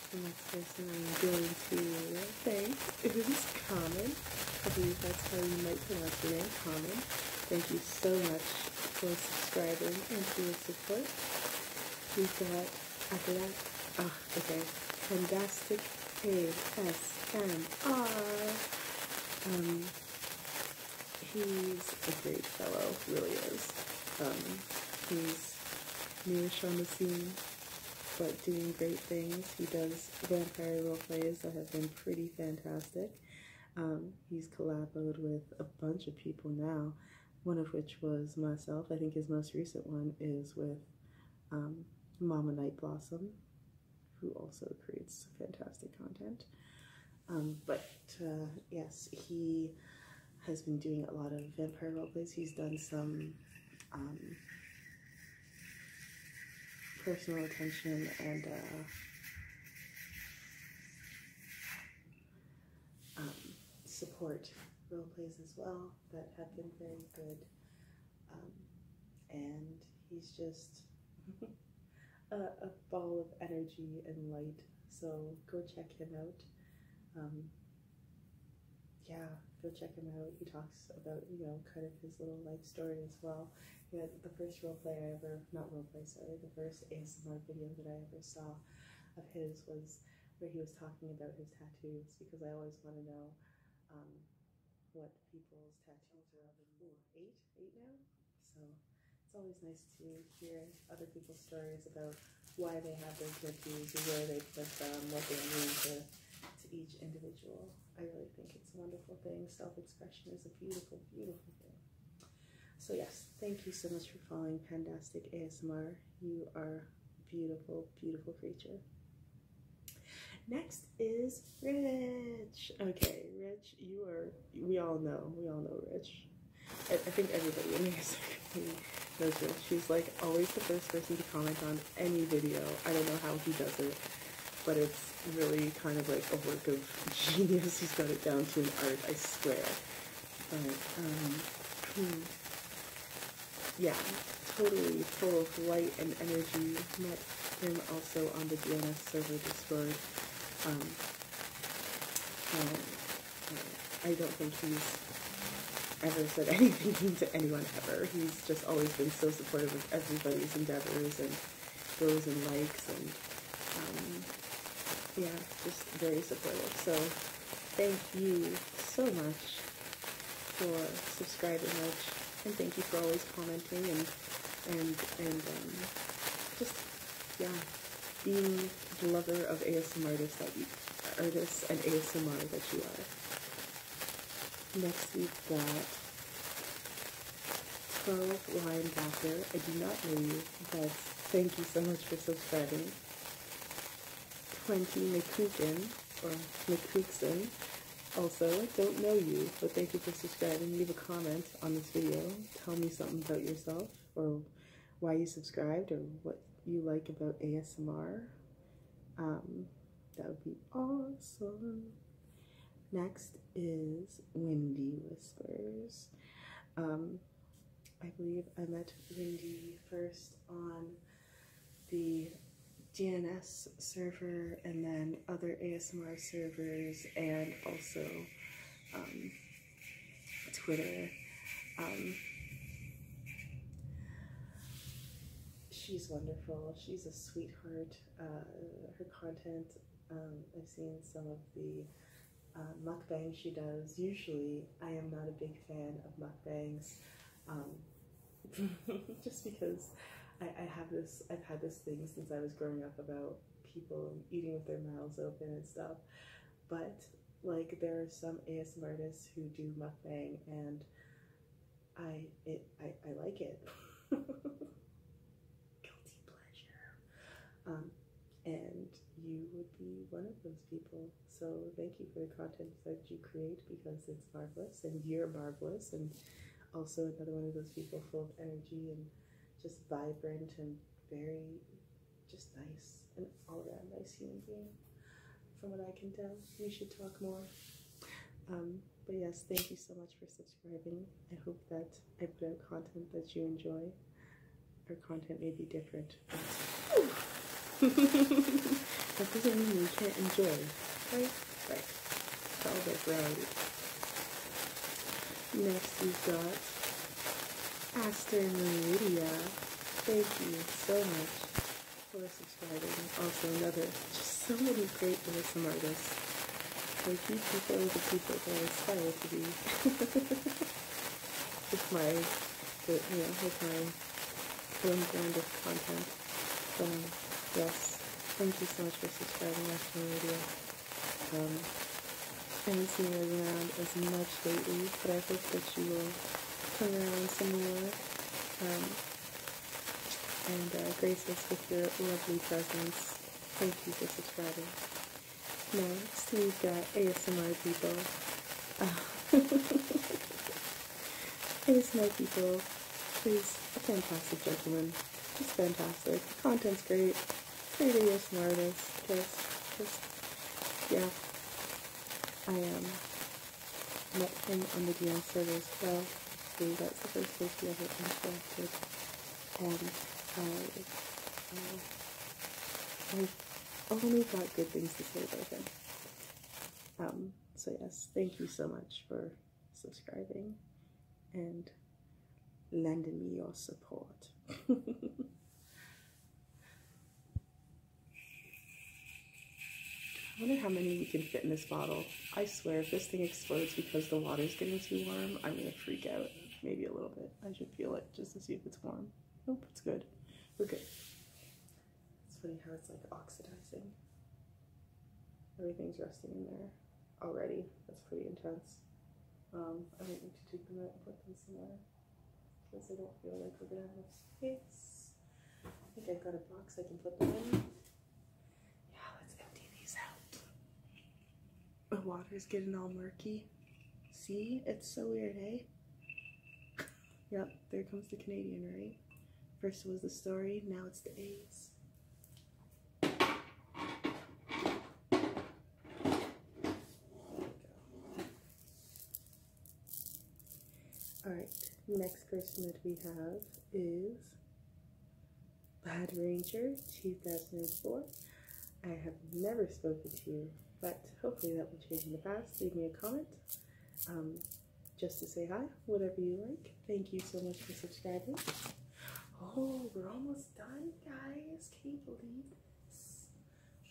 B: the next person I'm going to thank Common. I believe that's how you might pronounce your name, Common. Thank you so much for subscribing and for your support. We got Agla, ah, okay, Fantastic ASMR.
A: Um,
B: He's a great fellow,
A: really is. Um,
B: he's newish on the scene, but doing great things. He does vampire role plays that have been pretty fantastic. Um, he's collaborated with a bunch of people now, one of which was myself. I think his most recent one is with um, Mama Night Blossom, who also creates fantastic content. Um, but uh, yes, he has been doing a lot of vampire roleplays. He's done some um, personal attention and uh, um, support roleplays as well that have been very good. and he's just a, ball of energy and light. So go check him out. Um, yeah, go check him out. He talks about, you know, kind of his little life story as well. Yeah, the first role play I ever, not role play, sorry, the first ASMR video that I ever saw of his was where he was talking about his tattoos because I always want to know um, what people's tattoos are of and more. Eight? eight now. So it's always nice to hear other people's stories about why they have their curfews, where they put them, what they mean to, to each individual. I really think it's a wonderful thing. Self-expression is a beautiful, beautiful thing. So yes, thank you so much for following Pandastic ASMR. You are beautiful, beautiful creature. Next is Rich. Okay, Rich you are, we all know, we all know Rich. I, think everybody in the music community knows Rich. She's like always the first person to comment on any video. I don't know how he does it, but it's really kind of like a work of genius. He's got it down to an art, I swear. But, um, hmm. yeah, totally full of light and energy. And also on the DNS server Discord. Um, uh, I don't think he's ever said anything to anyone ever. He's just always been so supportive of everybody's endeavors and goes and likes and um, yeah, just very supportive. So thank you so much for subscribing, Roach, and thank you for always commenting and and and um, just yeah, being the lover of ASMR artists that you artists and ASMR that you are. Next we've got 12 Lion Backer. I do not know you, but thank you so much for subscribing. 20 McCreakin, or McCreakson. Also, I don't know you, but thank you for subscribing. Leave a comment on this video. Tell me something about yourself or why you subscribed or what you like about ASMR. Um, that would be awesome. Next is Windy Whispers. Um, I believe I met Windy first on the DNS server and then other ASMR servers and also
A: um, Twitter. Um,
B: she's wonderful. She's a sweetheart. Uh, her content, um, I've seen some of the uh, mukbang she does. Usually, I am not a big fan of mukbangs, um, just because I, have this. I've had this thing since I was growing up about people eating with their mouths open and stuff. But like there are some ASM who do mukbang and I it I, I like it. Guilty pleasure. Um, and you would be one of those people. So thank you for the content that you create because it's marvelous and you're marvelous and also another one of those people full of energy and just vibrant and very just nice and all around nice human being. From what I can tell, we should talk more. Um, but yes, thank you so much for subscribing. I hope that I put out content that you enjoy. Our content may be different. that doesn't mean you can't enjoy,
A: right? Right. It's all about
B: Next, we've got Aster Lydia, thank you so much
A: for subscribing.
B: Also another, just so many great awesome artists. Like you people are the people that I to be. Just my, with, you know, with my homegrown of content. So, um, yes, thank you so much for subscribing, Aster Lydia um, haven't around as much lately, but I hope that you will come around some more um, and uh, grace us with your lovely presence. Thank you for subscribing. Now, next we've uh, got ASMR people. Uh, ASMR people please, fantastic gentlemen, It's fantastic. The content's great previous murders, just, just, yeah, I am.
A: Um, met him on the DM server as well, so that's the first place we ever interacted, and uh,
B: I, uh, I only got good things to say about him. Um, so yes, thank you so much for subscribing, and lending me your support. I wonder how many we can fit in this bottle. I swear, if this thing explodes because the water's getting too warm, I'm going to freak out. Maybe a little bit. I should feel it just to see if it's warm. Nope, it's good. We're good. It's funny how it's like oxidizing. Everything's rusting in there already. That's pretty intense. Um, I might need to take them out and put them somewhere because I don't feel like we're going to have space. I think I've got a box I can put them in. Yeah, let's empty these out. The water's getting all murky. See? It's so weird, eh? Yep, there comes the Canadian, right? First was the story, now it's the A's. Alright, next person that we have is Bad Ranger 2004. I have never spoken to you, but hopefully that will change in the past. Leave me a comment um, just to say hi, whatever you like. Thank you so much for subscribing. Oh, we're almost done, guys. Can you believe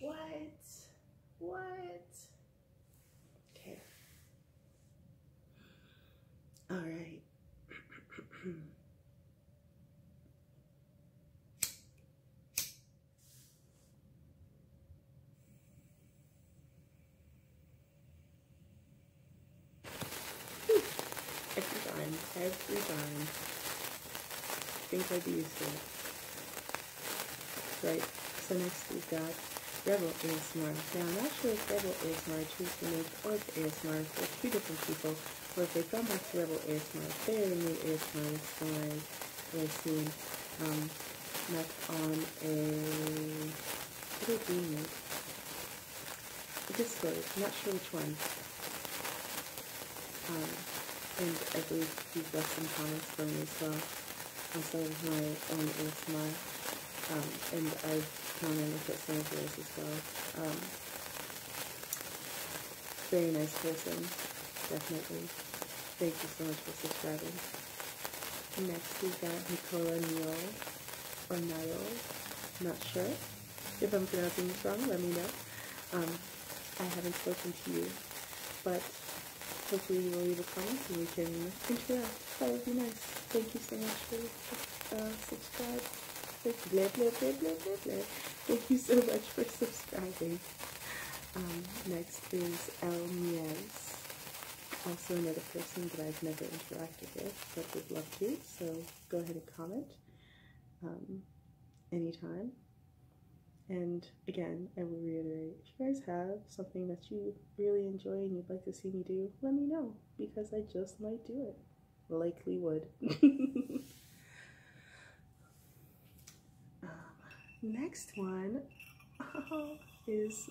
C: what? What?
B: Okay. All right.
A: every time, every time.
B: I think I've used it. Right, so next we've got Rebel ASMR. Now I'm not sure if Rebel ASMR I choose to make or if ASMR for two different people, or if they come back to Rebel ASMR, they are the my ASMR and that I've seen um, on a, little did A Discord, not sure which one. Um, and I believe you've um, left some comments for me as well on some of my own ASMR. and I've come in with some of yours as well. very nice person, definitely. Thank you so much for subscribing. Next we got Nicola Neal, or Niall, not sure. If I'm pronouncing this wrong, let me know. Um, I haven't spoken to you, but hopefully you will leave a comment so we can interact. That would be nice. Thank you so much
A: for subscribing. Uh, subscribe. Blah, blah, blah, blah, blah,
B: Thank you so much for subscribing. Um, next is El Miez. Also another person that I've never interacted with, but would love to. So go ahead and comment um, anytime. And again, I will reiterate if you guys have something that you really enjoy and you'd like to see me do, let me know because I just might do it. Likely would. Um, next one is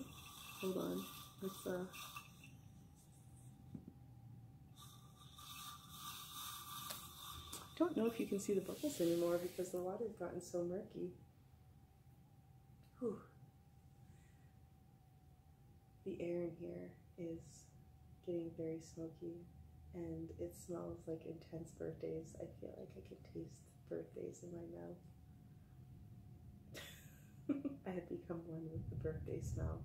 B: hold on, let's uh I don't know if you can see the bubbles anymore because the water's gotten so murky. Whew. The air in here is getting very smoky and it smells like intense birthdays. I feel like I can taste birthdays in my mouth. I have become one with the birthday smell.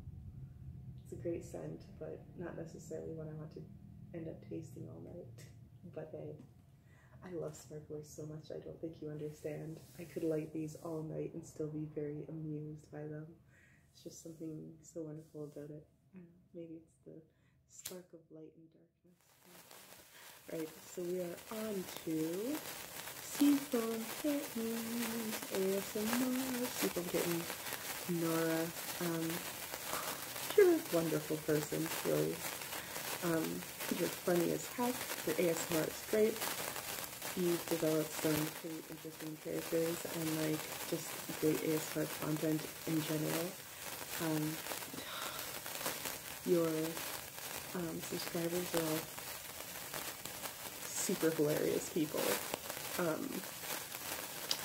B: It's a great scent, but not necessarily one I want to end up tasting all night. But hey, I love sparklers so much, I don't think you understand. I could light these all night and still be very amused by them. It's just something so wonderful about it. maybe it's the spark of light and darkness. Right, so we are on to Sea Seafoam Kittens ASMR. Seafoam Kittens Nora. Um, you're a wonderful person, um, you're funny as heck. Your ASMR is great. You've developed some pretty interesting characters and like just great ASMR content in general. Um, your subscribers are all super hilarious people.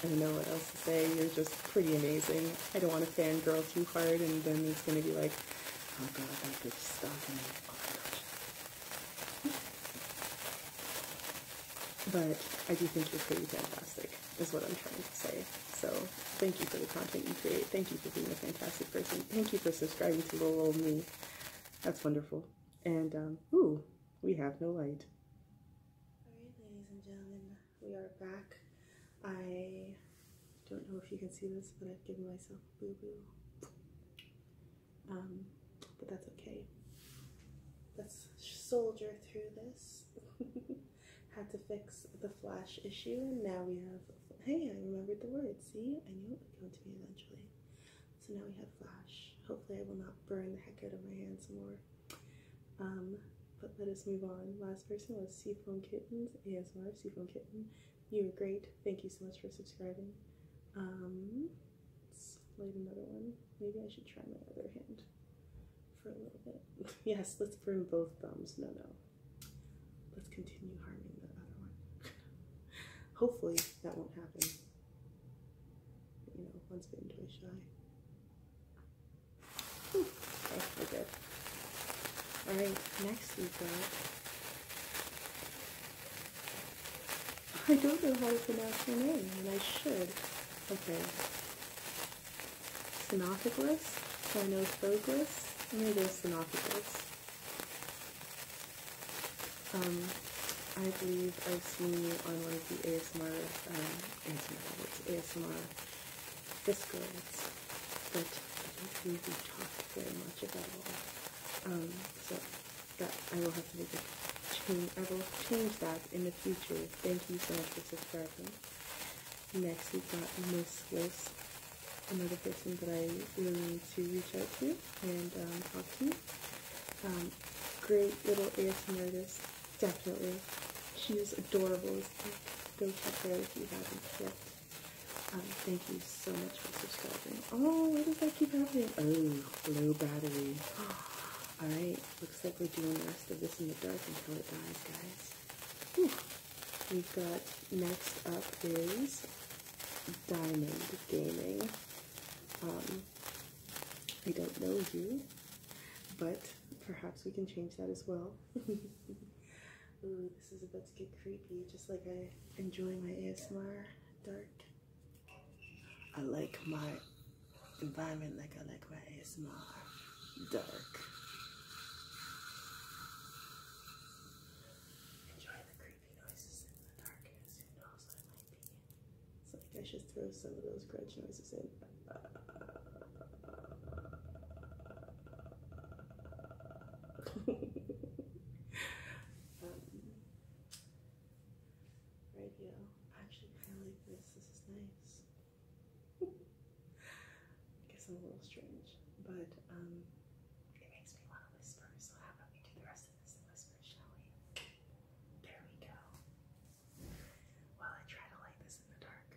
B: I don't know what else to say. You're just pretty amazing. I don't want to fangirl too hard, and then he's going to be like, oh god, that bitch stalking But I do think you're pretty fantastic, is what I'm trying to say. So thank you for the content you create. Thank you for being a fantastic person. Thank you for subscribing to Little Old Me. That's wonderful. And, um, ooh, we have no light. All right, ladies and gentlemen we are back. I don't know if you can see this, but I've given myself a boo boo. Um, but that's okay. Let's soldier through this. Had to fix the flash issue, and now we have. Hey, I remembered the word. See, I knew it would come to me eventually. So now we have flash. Hopefully, I will not burn the heck out of my hands more. Um, but let us move on. Last person was Seafoam Kittens, ASMR Seafoam Kitten. You were great. Thank you so much for subscribing. let's um, light another one. Maybe I should try my other hand for a little bit. yes, let's burn both thumbs. No, no. Let's continue harming the other one. Hopefully that won't happen. you know, once bitten, twice shy.
A: Whew, good. Alright, next we got...
B: I don't know how to pronounce your name, and I should. Okay. Synophoglus? Cynophoglis? I'm going to go Synophoglus. Um, I believe I've seen you on one of the ASMR um, and some other words, ASMR, but I don't really talk very much about all. Um, so that I will have to make a change. I will change that in the future. Thank you so much for subscribing. Next, we Miss Liz, another person that I really need to reach out to and um, talk to. Um, great little ASMR artist. Definitely. She was adorable Go check her if you haven't yet. Um, thank you so much for subscribing. Oh, what does that keep happening? Oh, low battery. Alright, looks like we're doing the rest of this in the dark until it dies, guys. We've
A: got, next up
B: is Diamond Gaming. Um, I don't know you, but Perhaps we can change that as well. Ooh, this is about to get creepy, just like I enjoy my ASMR dark. I like my environment like I like my ASMR dark. Enjoy the creepy noises in the darkness. Who knows I might be I should throw some of those crunch noises in. um, radio. actually kind of like this. This is nice.
A: I
B: guess I'm a little strange, but um, it makes
C: me want to whisper. So how about we do the
B: rest of this in whispers,
C: shall we? There we go while I try to light this in the dark.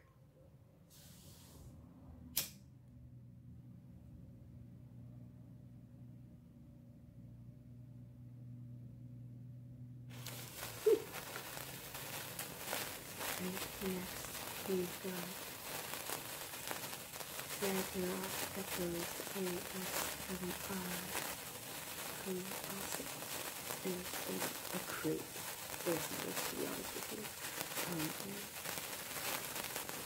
A: And next we've got Ragnarok Echoes ASMR cream pasta and, and a crepe. Those are to be honest with you. Um,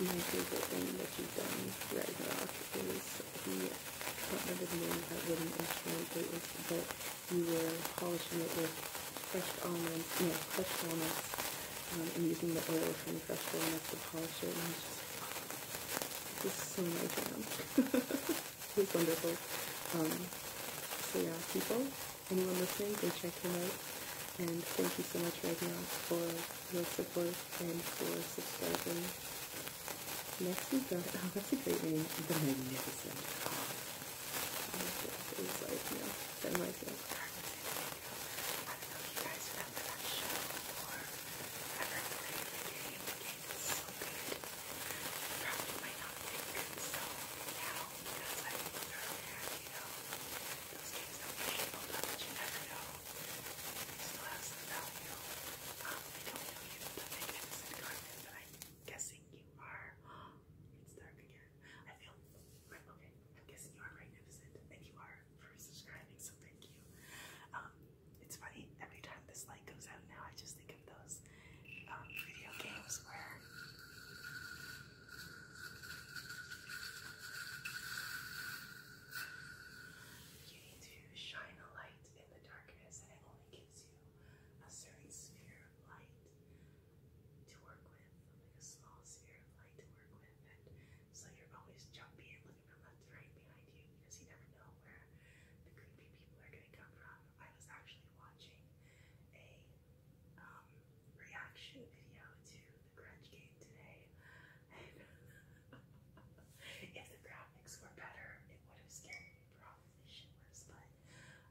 A: my favorite thing that you've done with Red Rock is the, I can't remember the name of that wooden instrument, it was, but you were polishing it with crushed
B: almonds, no, crushed walnuts, um, and using the oil from the crushed walnuts to polish it, and I was just like, oh, this is so my jam. He's wonderful. Um, so yeah, people, anyone listening, go check him out. And thank you so much right now for your support and for subscribing. Next we've got, oh, that's a great name, The Magnificent. Oh,
A: it's like, you know, might feel probably might not think so now because I you know,
C: those games do people but you never know. still have some value. Um, I don't know you the magnificent garden, but I'm guessing you are it's dark again. I feel okay. I'm guessing you are magnificent and you are for subscribing, so thank you. Um, it's funny, every time this light goes out now I just think of those um, video games where you need to shine a light in the darkness and it only gives you a certain sphere of light to work with, like a small sphere of light to work with. And so you're always jumping and looking from left to right behind you because you never know where the creepy people are going to come from. I was actually watching a um, reaction video to the Grudge game today, and if the graphics were better, it would have scared me probably shitless, but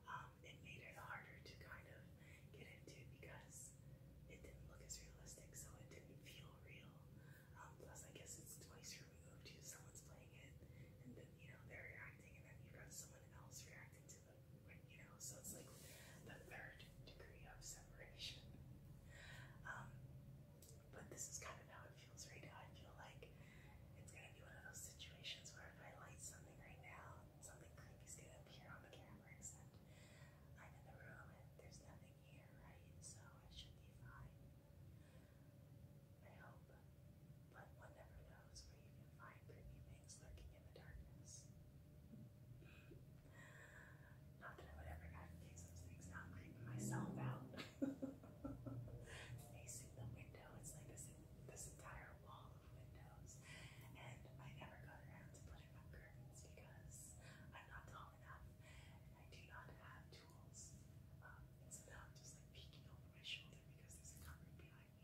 C: um, it made it harder to kind of get into because it didn't look as realistic, so it didn't feel real. Um, plus, I guess it's twice removed. Someone's playing it, you know they're reacting, and then you've got someone else reacting to them, you know. So it's like the third degree of separation. Um, but this is kind of how it feels right now. I feel like it's gonna be one of those situations where if I light something right now, something creepy is gonna appear on the camera, except I'm in the room and there's nothing here, right? So it should be fine. I hope. But one never knows where you can find creepy things lurking in the darkness. Not that I would ever advocate such things, now I'm creeping myself out. Facing the window, it's like this, this entire wall of windows. And I never got around to putting up curtains because I'm not tall enough and I do not have tools. Um, it's about just like peeking over my shoulder because there's a cupboard behind I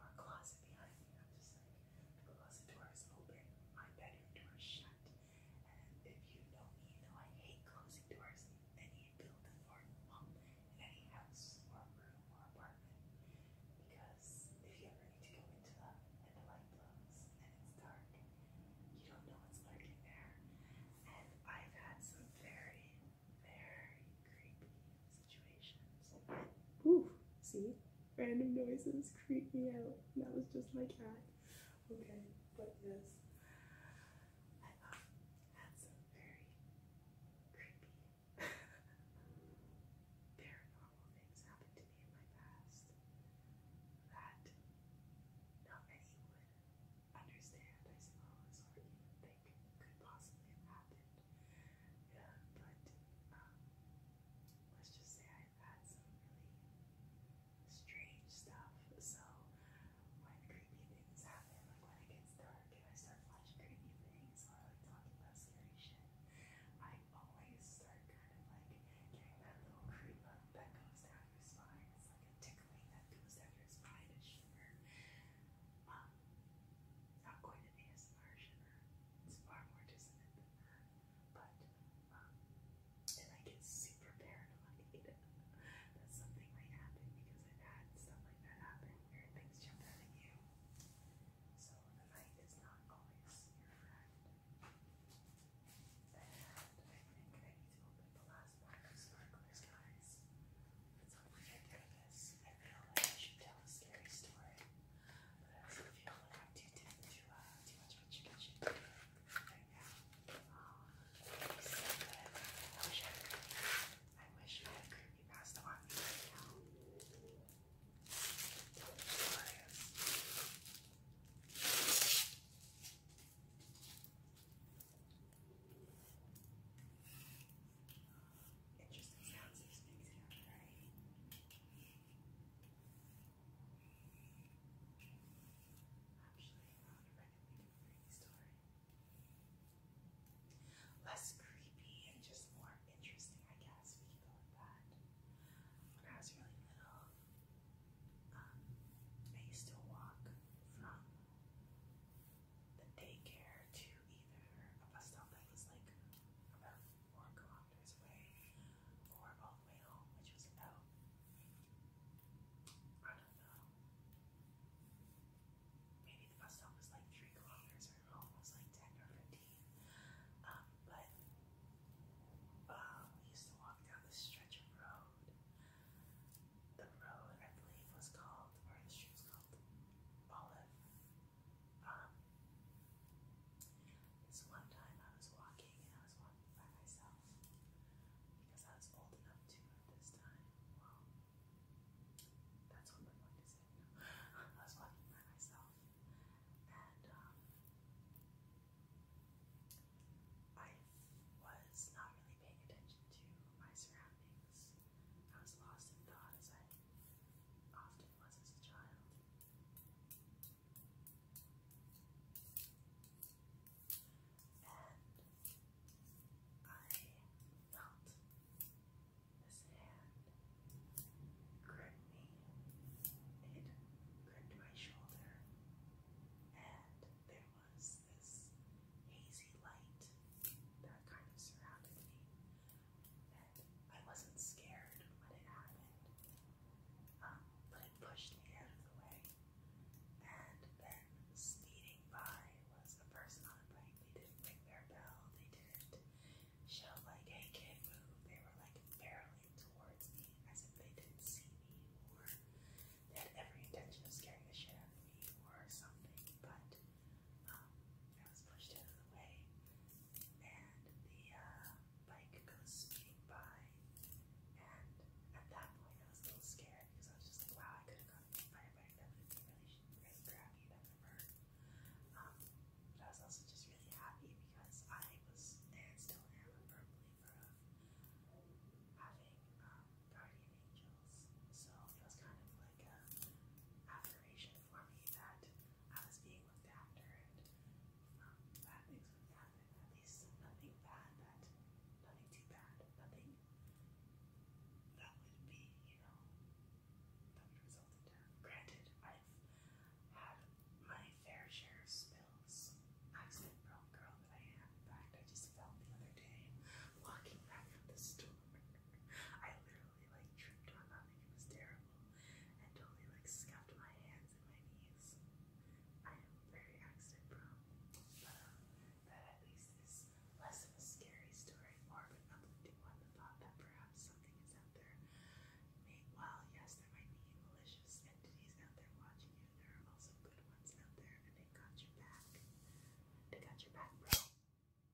C: Or a closet behind me. I'm just like, the closet door is open, my bedroom door shut. And if you know me, you know I hate closing doors in any building or well, in any house or room or apartment. Because if you ever need to go into them and the light blows and it's dark, you don't know what's lurking there. And I've
B: had some very very creepy situations. Ooh, see? Random noises creep me out. that was just my cat. Okay, but yes. I um, had some very creepy
C: paranormal things happen to me in my past that not many understand, I suppose, or even think could possibly have happened but um, let's just say I've had some really strange stuff. So when creepy things happen, like when it gets dark and I start watching creepy things or like talking about scary shit, I always start kind of like getting that little creep up that goes down your spine. It's like a tickling that goes down your spine, a shiver. Well, not quite an ASMR It's far more dissonant But, um, and I super paranoid. that something might happen because I've had stuff like that happen where things jump out at you. So the night is not always your friend. And I think I need to open the last box of sparklers, guys. It's ridiculous. Oh I feel like I should tell a scary story, but I also feel like I'm too too, uh, too, much of a chicken right now. Oh, so good. I wish I had creepy. pasta right now. Interesting sounds Less creepy and just more interesting, I guess. We can go with that. When really little, um, to walk from the daycare to either a bus stop that was like about four kilometers away or all the way home, which was about, I don't know, maybe the bus stop was like three kilometers or home was like 10 or 15. Um, but um, we used to walk down this stretch of road. The road, I believe, was called, or the street called um, this one time I was walking and I was walking by myself because I was old enough to at this time. Well, that's what we're going to say. I was walking by myself and um, I was not really paying attention to my surroundings. I was lost in thought as I often was as a child. And I felt this hand grip me. It gripped my shoulder, and there was this hazy light that kind of surrounded me. I wasn't scared when it happened,
A: um, but it pushed me out of the way. And then speeding
C: by was a person on a bike. They didn't ring their bell. They didn't show like, "Hey kid, move!" They were like barreling towards me as if they didn't see me, or had every intention of scaring the shit out of me, or something. But I was pushed out of the way, and the uh, bike goes speeding by, and at that point I was a little scared because I was just like, wow, I could have gotten hit by a bike, that would have really, really crappy, that would have um, but I was also just really happy because I was, and still am, a firm believer of having um, guardian angels, so it was kind of like a affirmation for me that I was being looked after and um, bad things would happen. At least nothing bad, that nothing too bad, nothing that would be, you know, that would result in death. Granted,
A: I've had my fair share of spills. Accident prone girl that I am. In fact, I just fell the other day
C: walking back from the store. I literally like tripped on that, it was terrible, and totally like scuffed my hands and my knees. I am very accident prone, but um, at least is less scary story, more an uplifting one. The thought that perhaps something is out there. While yes, there might be malicious entities out there watching you, there are also
A: good ones out there, and they got your back. They got your back, bro.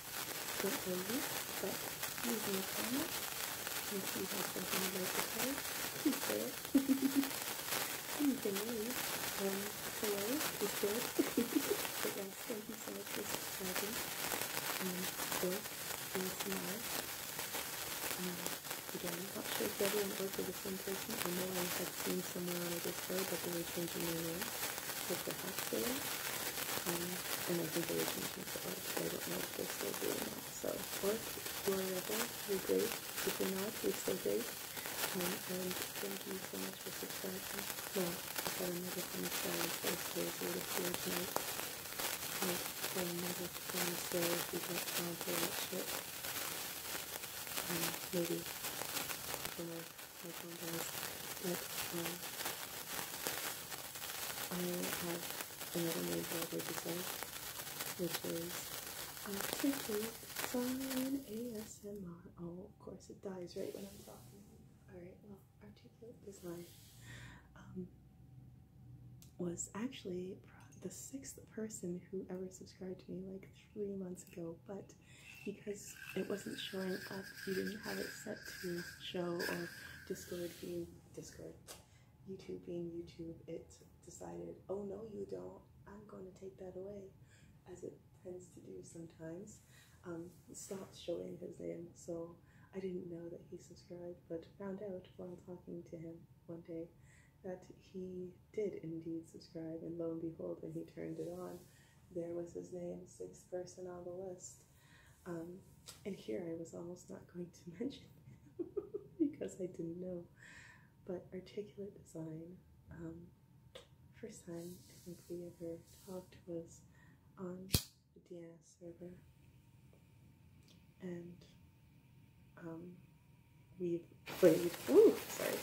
A: don't really, but leave me a comment and if you have something you'd like to say, please say it. Anything really. Um, hello, it's good. but yes, thank you so much for subscribing. Um, for ASMR. Um, again, not sure if everyone worked with the same person. I know I had seen somewhere on a display that they were changing their name.
B: But um, and I think they were changing the arch, so I don't know if they're still doing that. So, or you're great. If you're not, you're still great.
A: Um, and thank you so much for subscribing. Well, I've got another promise there. Thanks for the video tonight. I've got another promise there if you got time to watch it. Um, maybe. I little less flexible. I have another name for this design, which is uh,
B: Sign ASMR. Oh, of course it dies right when I'm talking. Alright, well, Articulate Design um, was actually the sixth person who ever subscribed to me like three months ago, but because it wasn't showing up. You didn't have it set to show or Discord being Discord, YouTube being YouTube. It decided, oh no, you don't. I'm going to take that away, as it tends to do sometimes. Um, Stops showing his name, so I didn't know that he subscribed, but found out while talking to him one day that he did indeed subscribe, and lo and behold, when he turned it on, there was his name, sixth person on the list. Um, and here I was almost not going to mention him because I didn't know. But articulate design, um, first time I think we ever talked was on the DNS server. And um, we played, ooh,
A: sorry.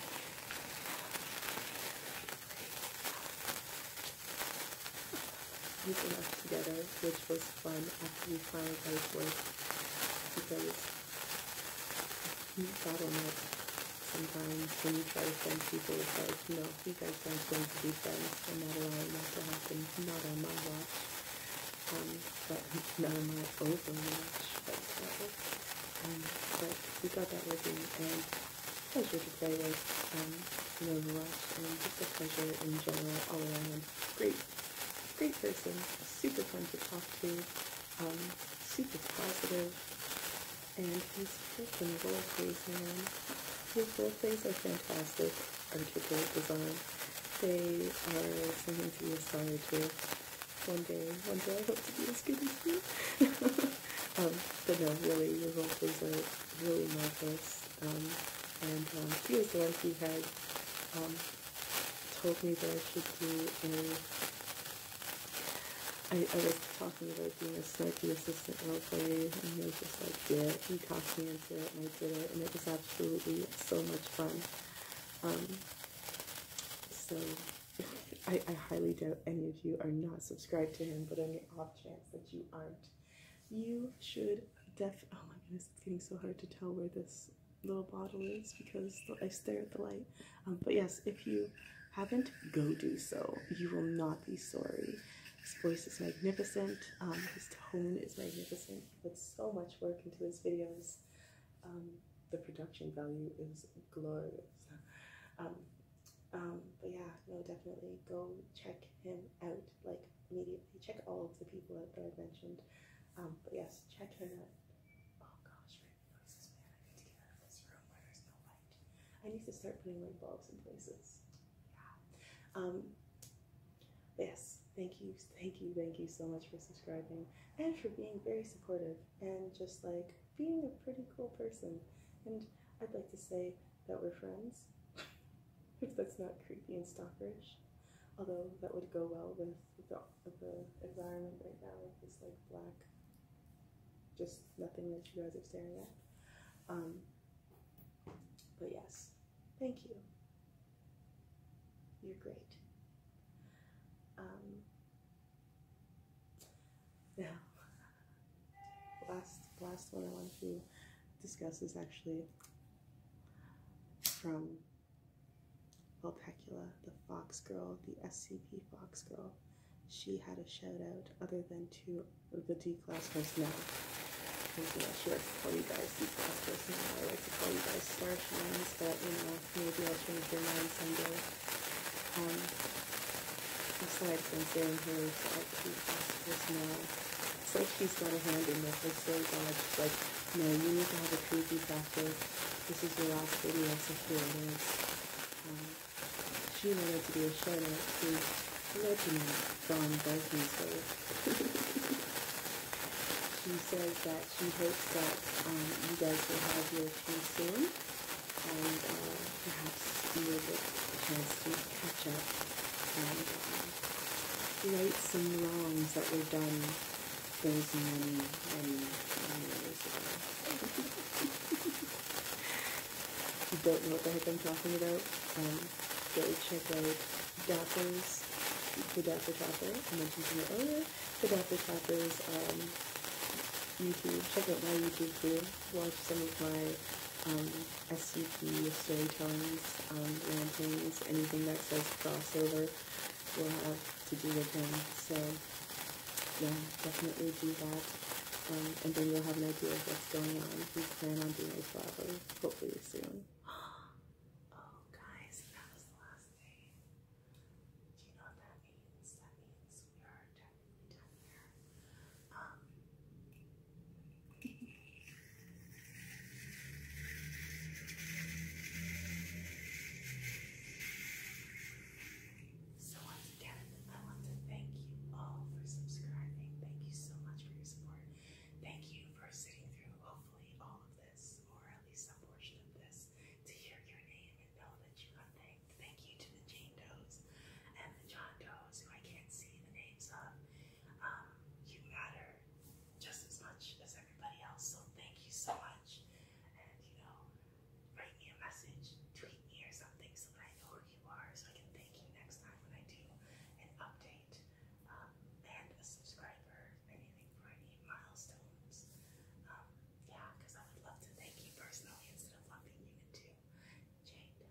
A: We meeting us together, which was fun after we finally got his voice because he bottleneck
B: sometimes when you try to send people it's like, you know, you guys aren't going to be friends and not
A: allowing that to happen, not on my watch. Um, but not on my overwatch, but whatever. Um, but we got that working and
B: pleasure to play with, um, no rush, and just a pleasure in general all around. Great, great person, super fun to talk to, um, super positive, and his book and role plays, man, his role plays are fantastic,
A: articulate design. They are something
B: to be aspired to. One day, one day I hope to be as good as you. Um, but no, really, your Wolf are uh, really marvelous. Um, and um, he was the one who had um, told me that I should do a. I, I was talking about being a snarky assistant roleplay, and he was just like, yeah, he talked me into it, and I did it, and it was absolutely so much fun. so, I, I highly doubt any of you are not subscribed to him, but I mean, chance that you aren't, you should definitely. Oh my goodness, it's getting so hard to tell where this little bottle is because I stare at the light. Um, but yes, if you haven't, go do so. You will not be sorry. His voice is magnificent. Um, his tone is magnificent. He puts so much work into his videos. Um, the production value is glorious. Um, but yeah, no, definitely go check him out like immediately. Check all of the people that I have mentioned. Um, but yes, check him out. Oh gosh, man. I need to get out of this room where there's no light. I need to start putting light bulbs in places. Yeah. Um, yes, thank you, thank you, thank you so much for subscribing and for being very supportive and just like being a pretty cool person. And I'd like to say that we're friends, if that's not creepy and stalkerish. Although that would go well with the, the environment right now, with this like black, just nothing that you guys are staring at. Um, but yes, thank you. You're great. Um, now, last last one I want to discuss is actually from Vulpecula, the Fox Girl, the SCP Fox Girl. She had a shout out other than to the D class personnel. Because i know, she likes to call you guys D class now. I like to call you guys starshines, but you know, maybe I'll change your mind someday. Um, that's what I've been saying here to our pastors now. It's she's got a hand in this.
A: I swear to God, like, no, you need to have a crazy doctor. This is your last video, so here it is. Um, she wanted to be a she out to Legend from Baltimore. she says that she hopes that um, you guys will have your tree soon and uh, perhaps you will get a chance to catch up and um,
B: right some wrongs that were done those many, many, years ago. you don't know what the heck I'm talking about? Um, go check out Dapper's, the Dapper Chopper, I mentioned to you earlier, the Dapper Topper's um, YouTube, check out my YouTube too. Watch some of my um, SCP storytellings, um, rantings, anything that says crossover will have to do with them. So, yeah, definitely do that. Um,
A: and then you'll have an idea of what's going on. We plan on doing a collab hopefully soon. oh, guys, that was the last day. Do you know what that means? That means um,
C: so again, I want to thank you all for subscribing. Thank you so much for your support. Thank you for sitting through hopefully all of this, or at least some portion of this, to hear your name and know that you got thanked. Thank you to the Jane Does and the John Does, who I can't see the names of. Um, you matter just as much as everybody else, so thank you so much. And you know, write me a message, tweet me or something, so that I know who you are, so I can thank you next time when I do an update um, and a subscriber, anything for any milestones. Um, yeah, because I would love to thank you personally instead of lumping you into Jane Doe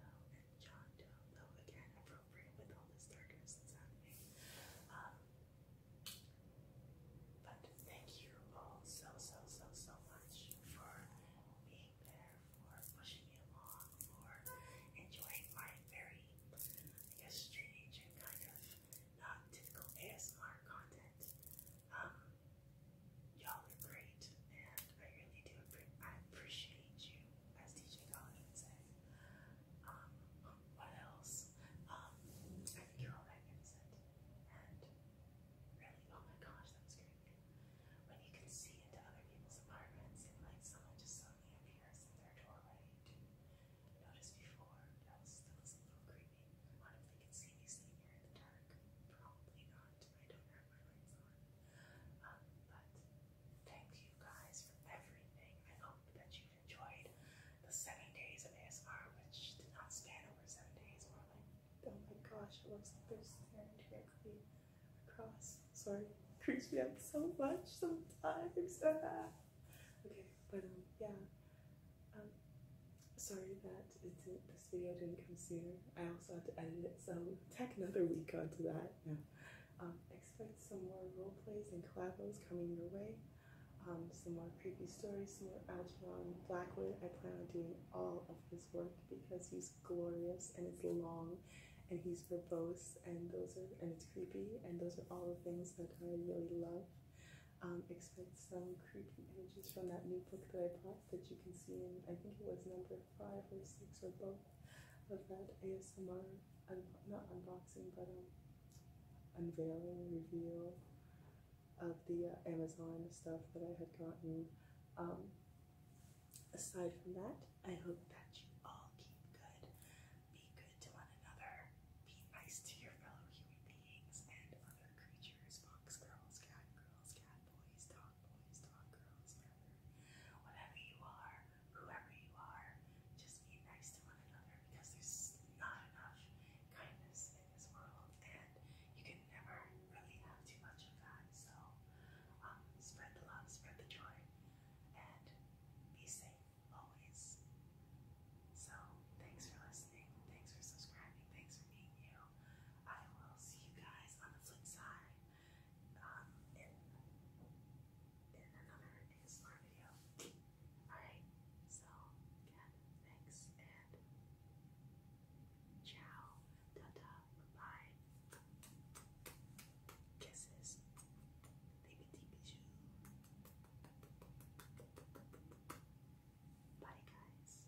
C: John though again appropriate with all this darkness that's happening. Um, but thank you all so, so, so, so much for being there, for pushing me along, for enjoying my very, I guess, strange and kind of not typical ASMR content. Um, Y'all are great, and I really do appre I appreciate you, as DJ Colin would say. Um, what else? Um, I think you're all magnificent, and really, oh my gosh, that was great. When you can see into other people's apartments, and like someone just suddenly appears in their doorway, you didn't notice before, that was, that was a little creepy. I don't know if they could see me sitting here in the dark, probably not. Um, but thank you guys for everything. I hope that you enjoyed the seven days of ASMR, which did not stand over seven days. More like,
B: oh my gosh, it looks like they're staring directly across. Sorry, it creeps me out so much sometimes. okay, but um, yeah. Um, sorry that it did see. I didn't come sooner. I also had to edit it, so tack another week onto that. Yeah. Um, expect some more role plays and collabos coming your way. Um, some more creepy stories, some more Algernon Blackwood. I plan on doing all of his work because he's glorious and it's long and he's verbose and those are and it's creepy and those are all the things that I really love. Um, expect some creepy images from that new book that I bought that you can see in, I think it was number five or six or both of that ASMR, not unboxing, but um, unveiling reveal of the uh, Amazon stuff that I had gotten. Um, aside from that, I hope that you all keep
C: good, be good to one another, be nice to your fellow human beings and other creatures, fox girls, cat girls, cat boys, dogs boys, dog girls, whatever. Whatever you are, whoever you are, just be nice to one another because there's not enough kindness in this world and you can never really have too much of that. So um, spread the love, spread the joy, and be safe always. So thanks for listening, thanks for subscribing, thanks for being you. I will see you guys on the flip side um, in, another ASMR video. Alright, so again, thanks and ciao, ta-ta, bye, kisses, baby tiki
A: Bye guys.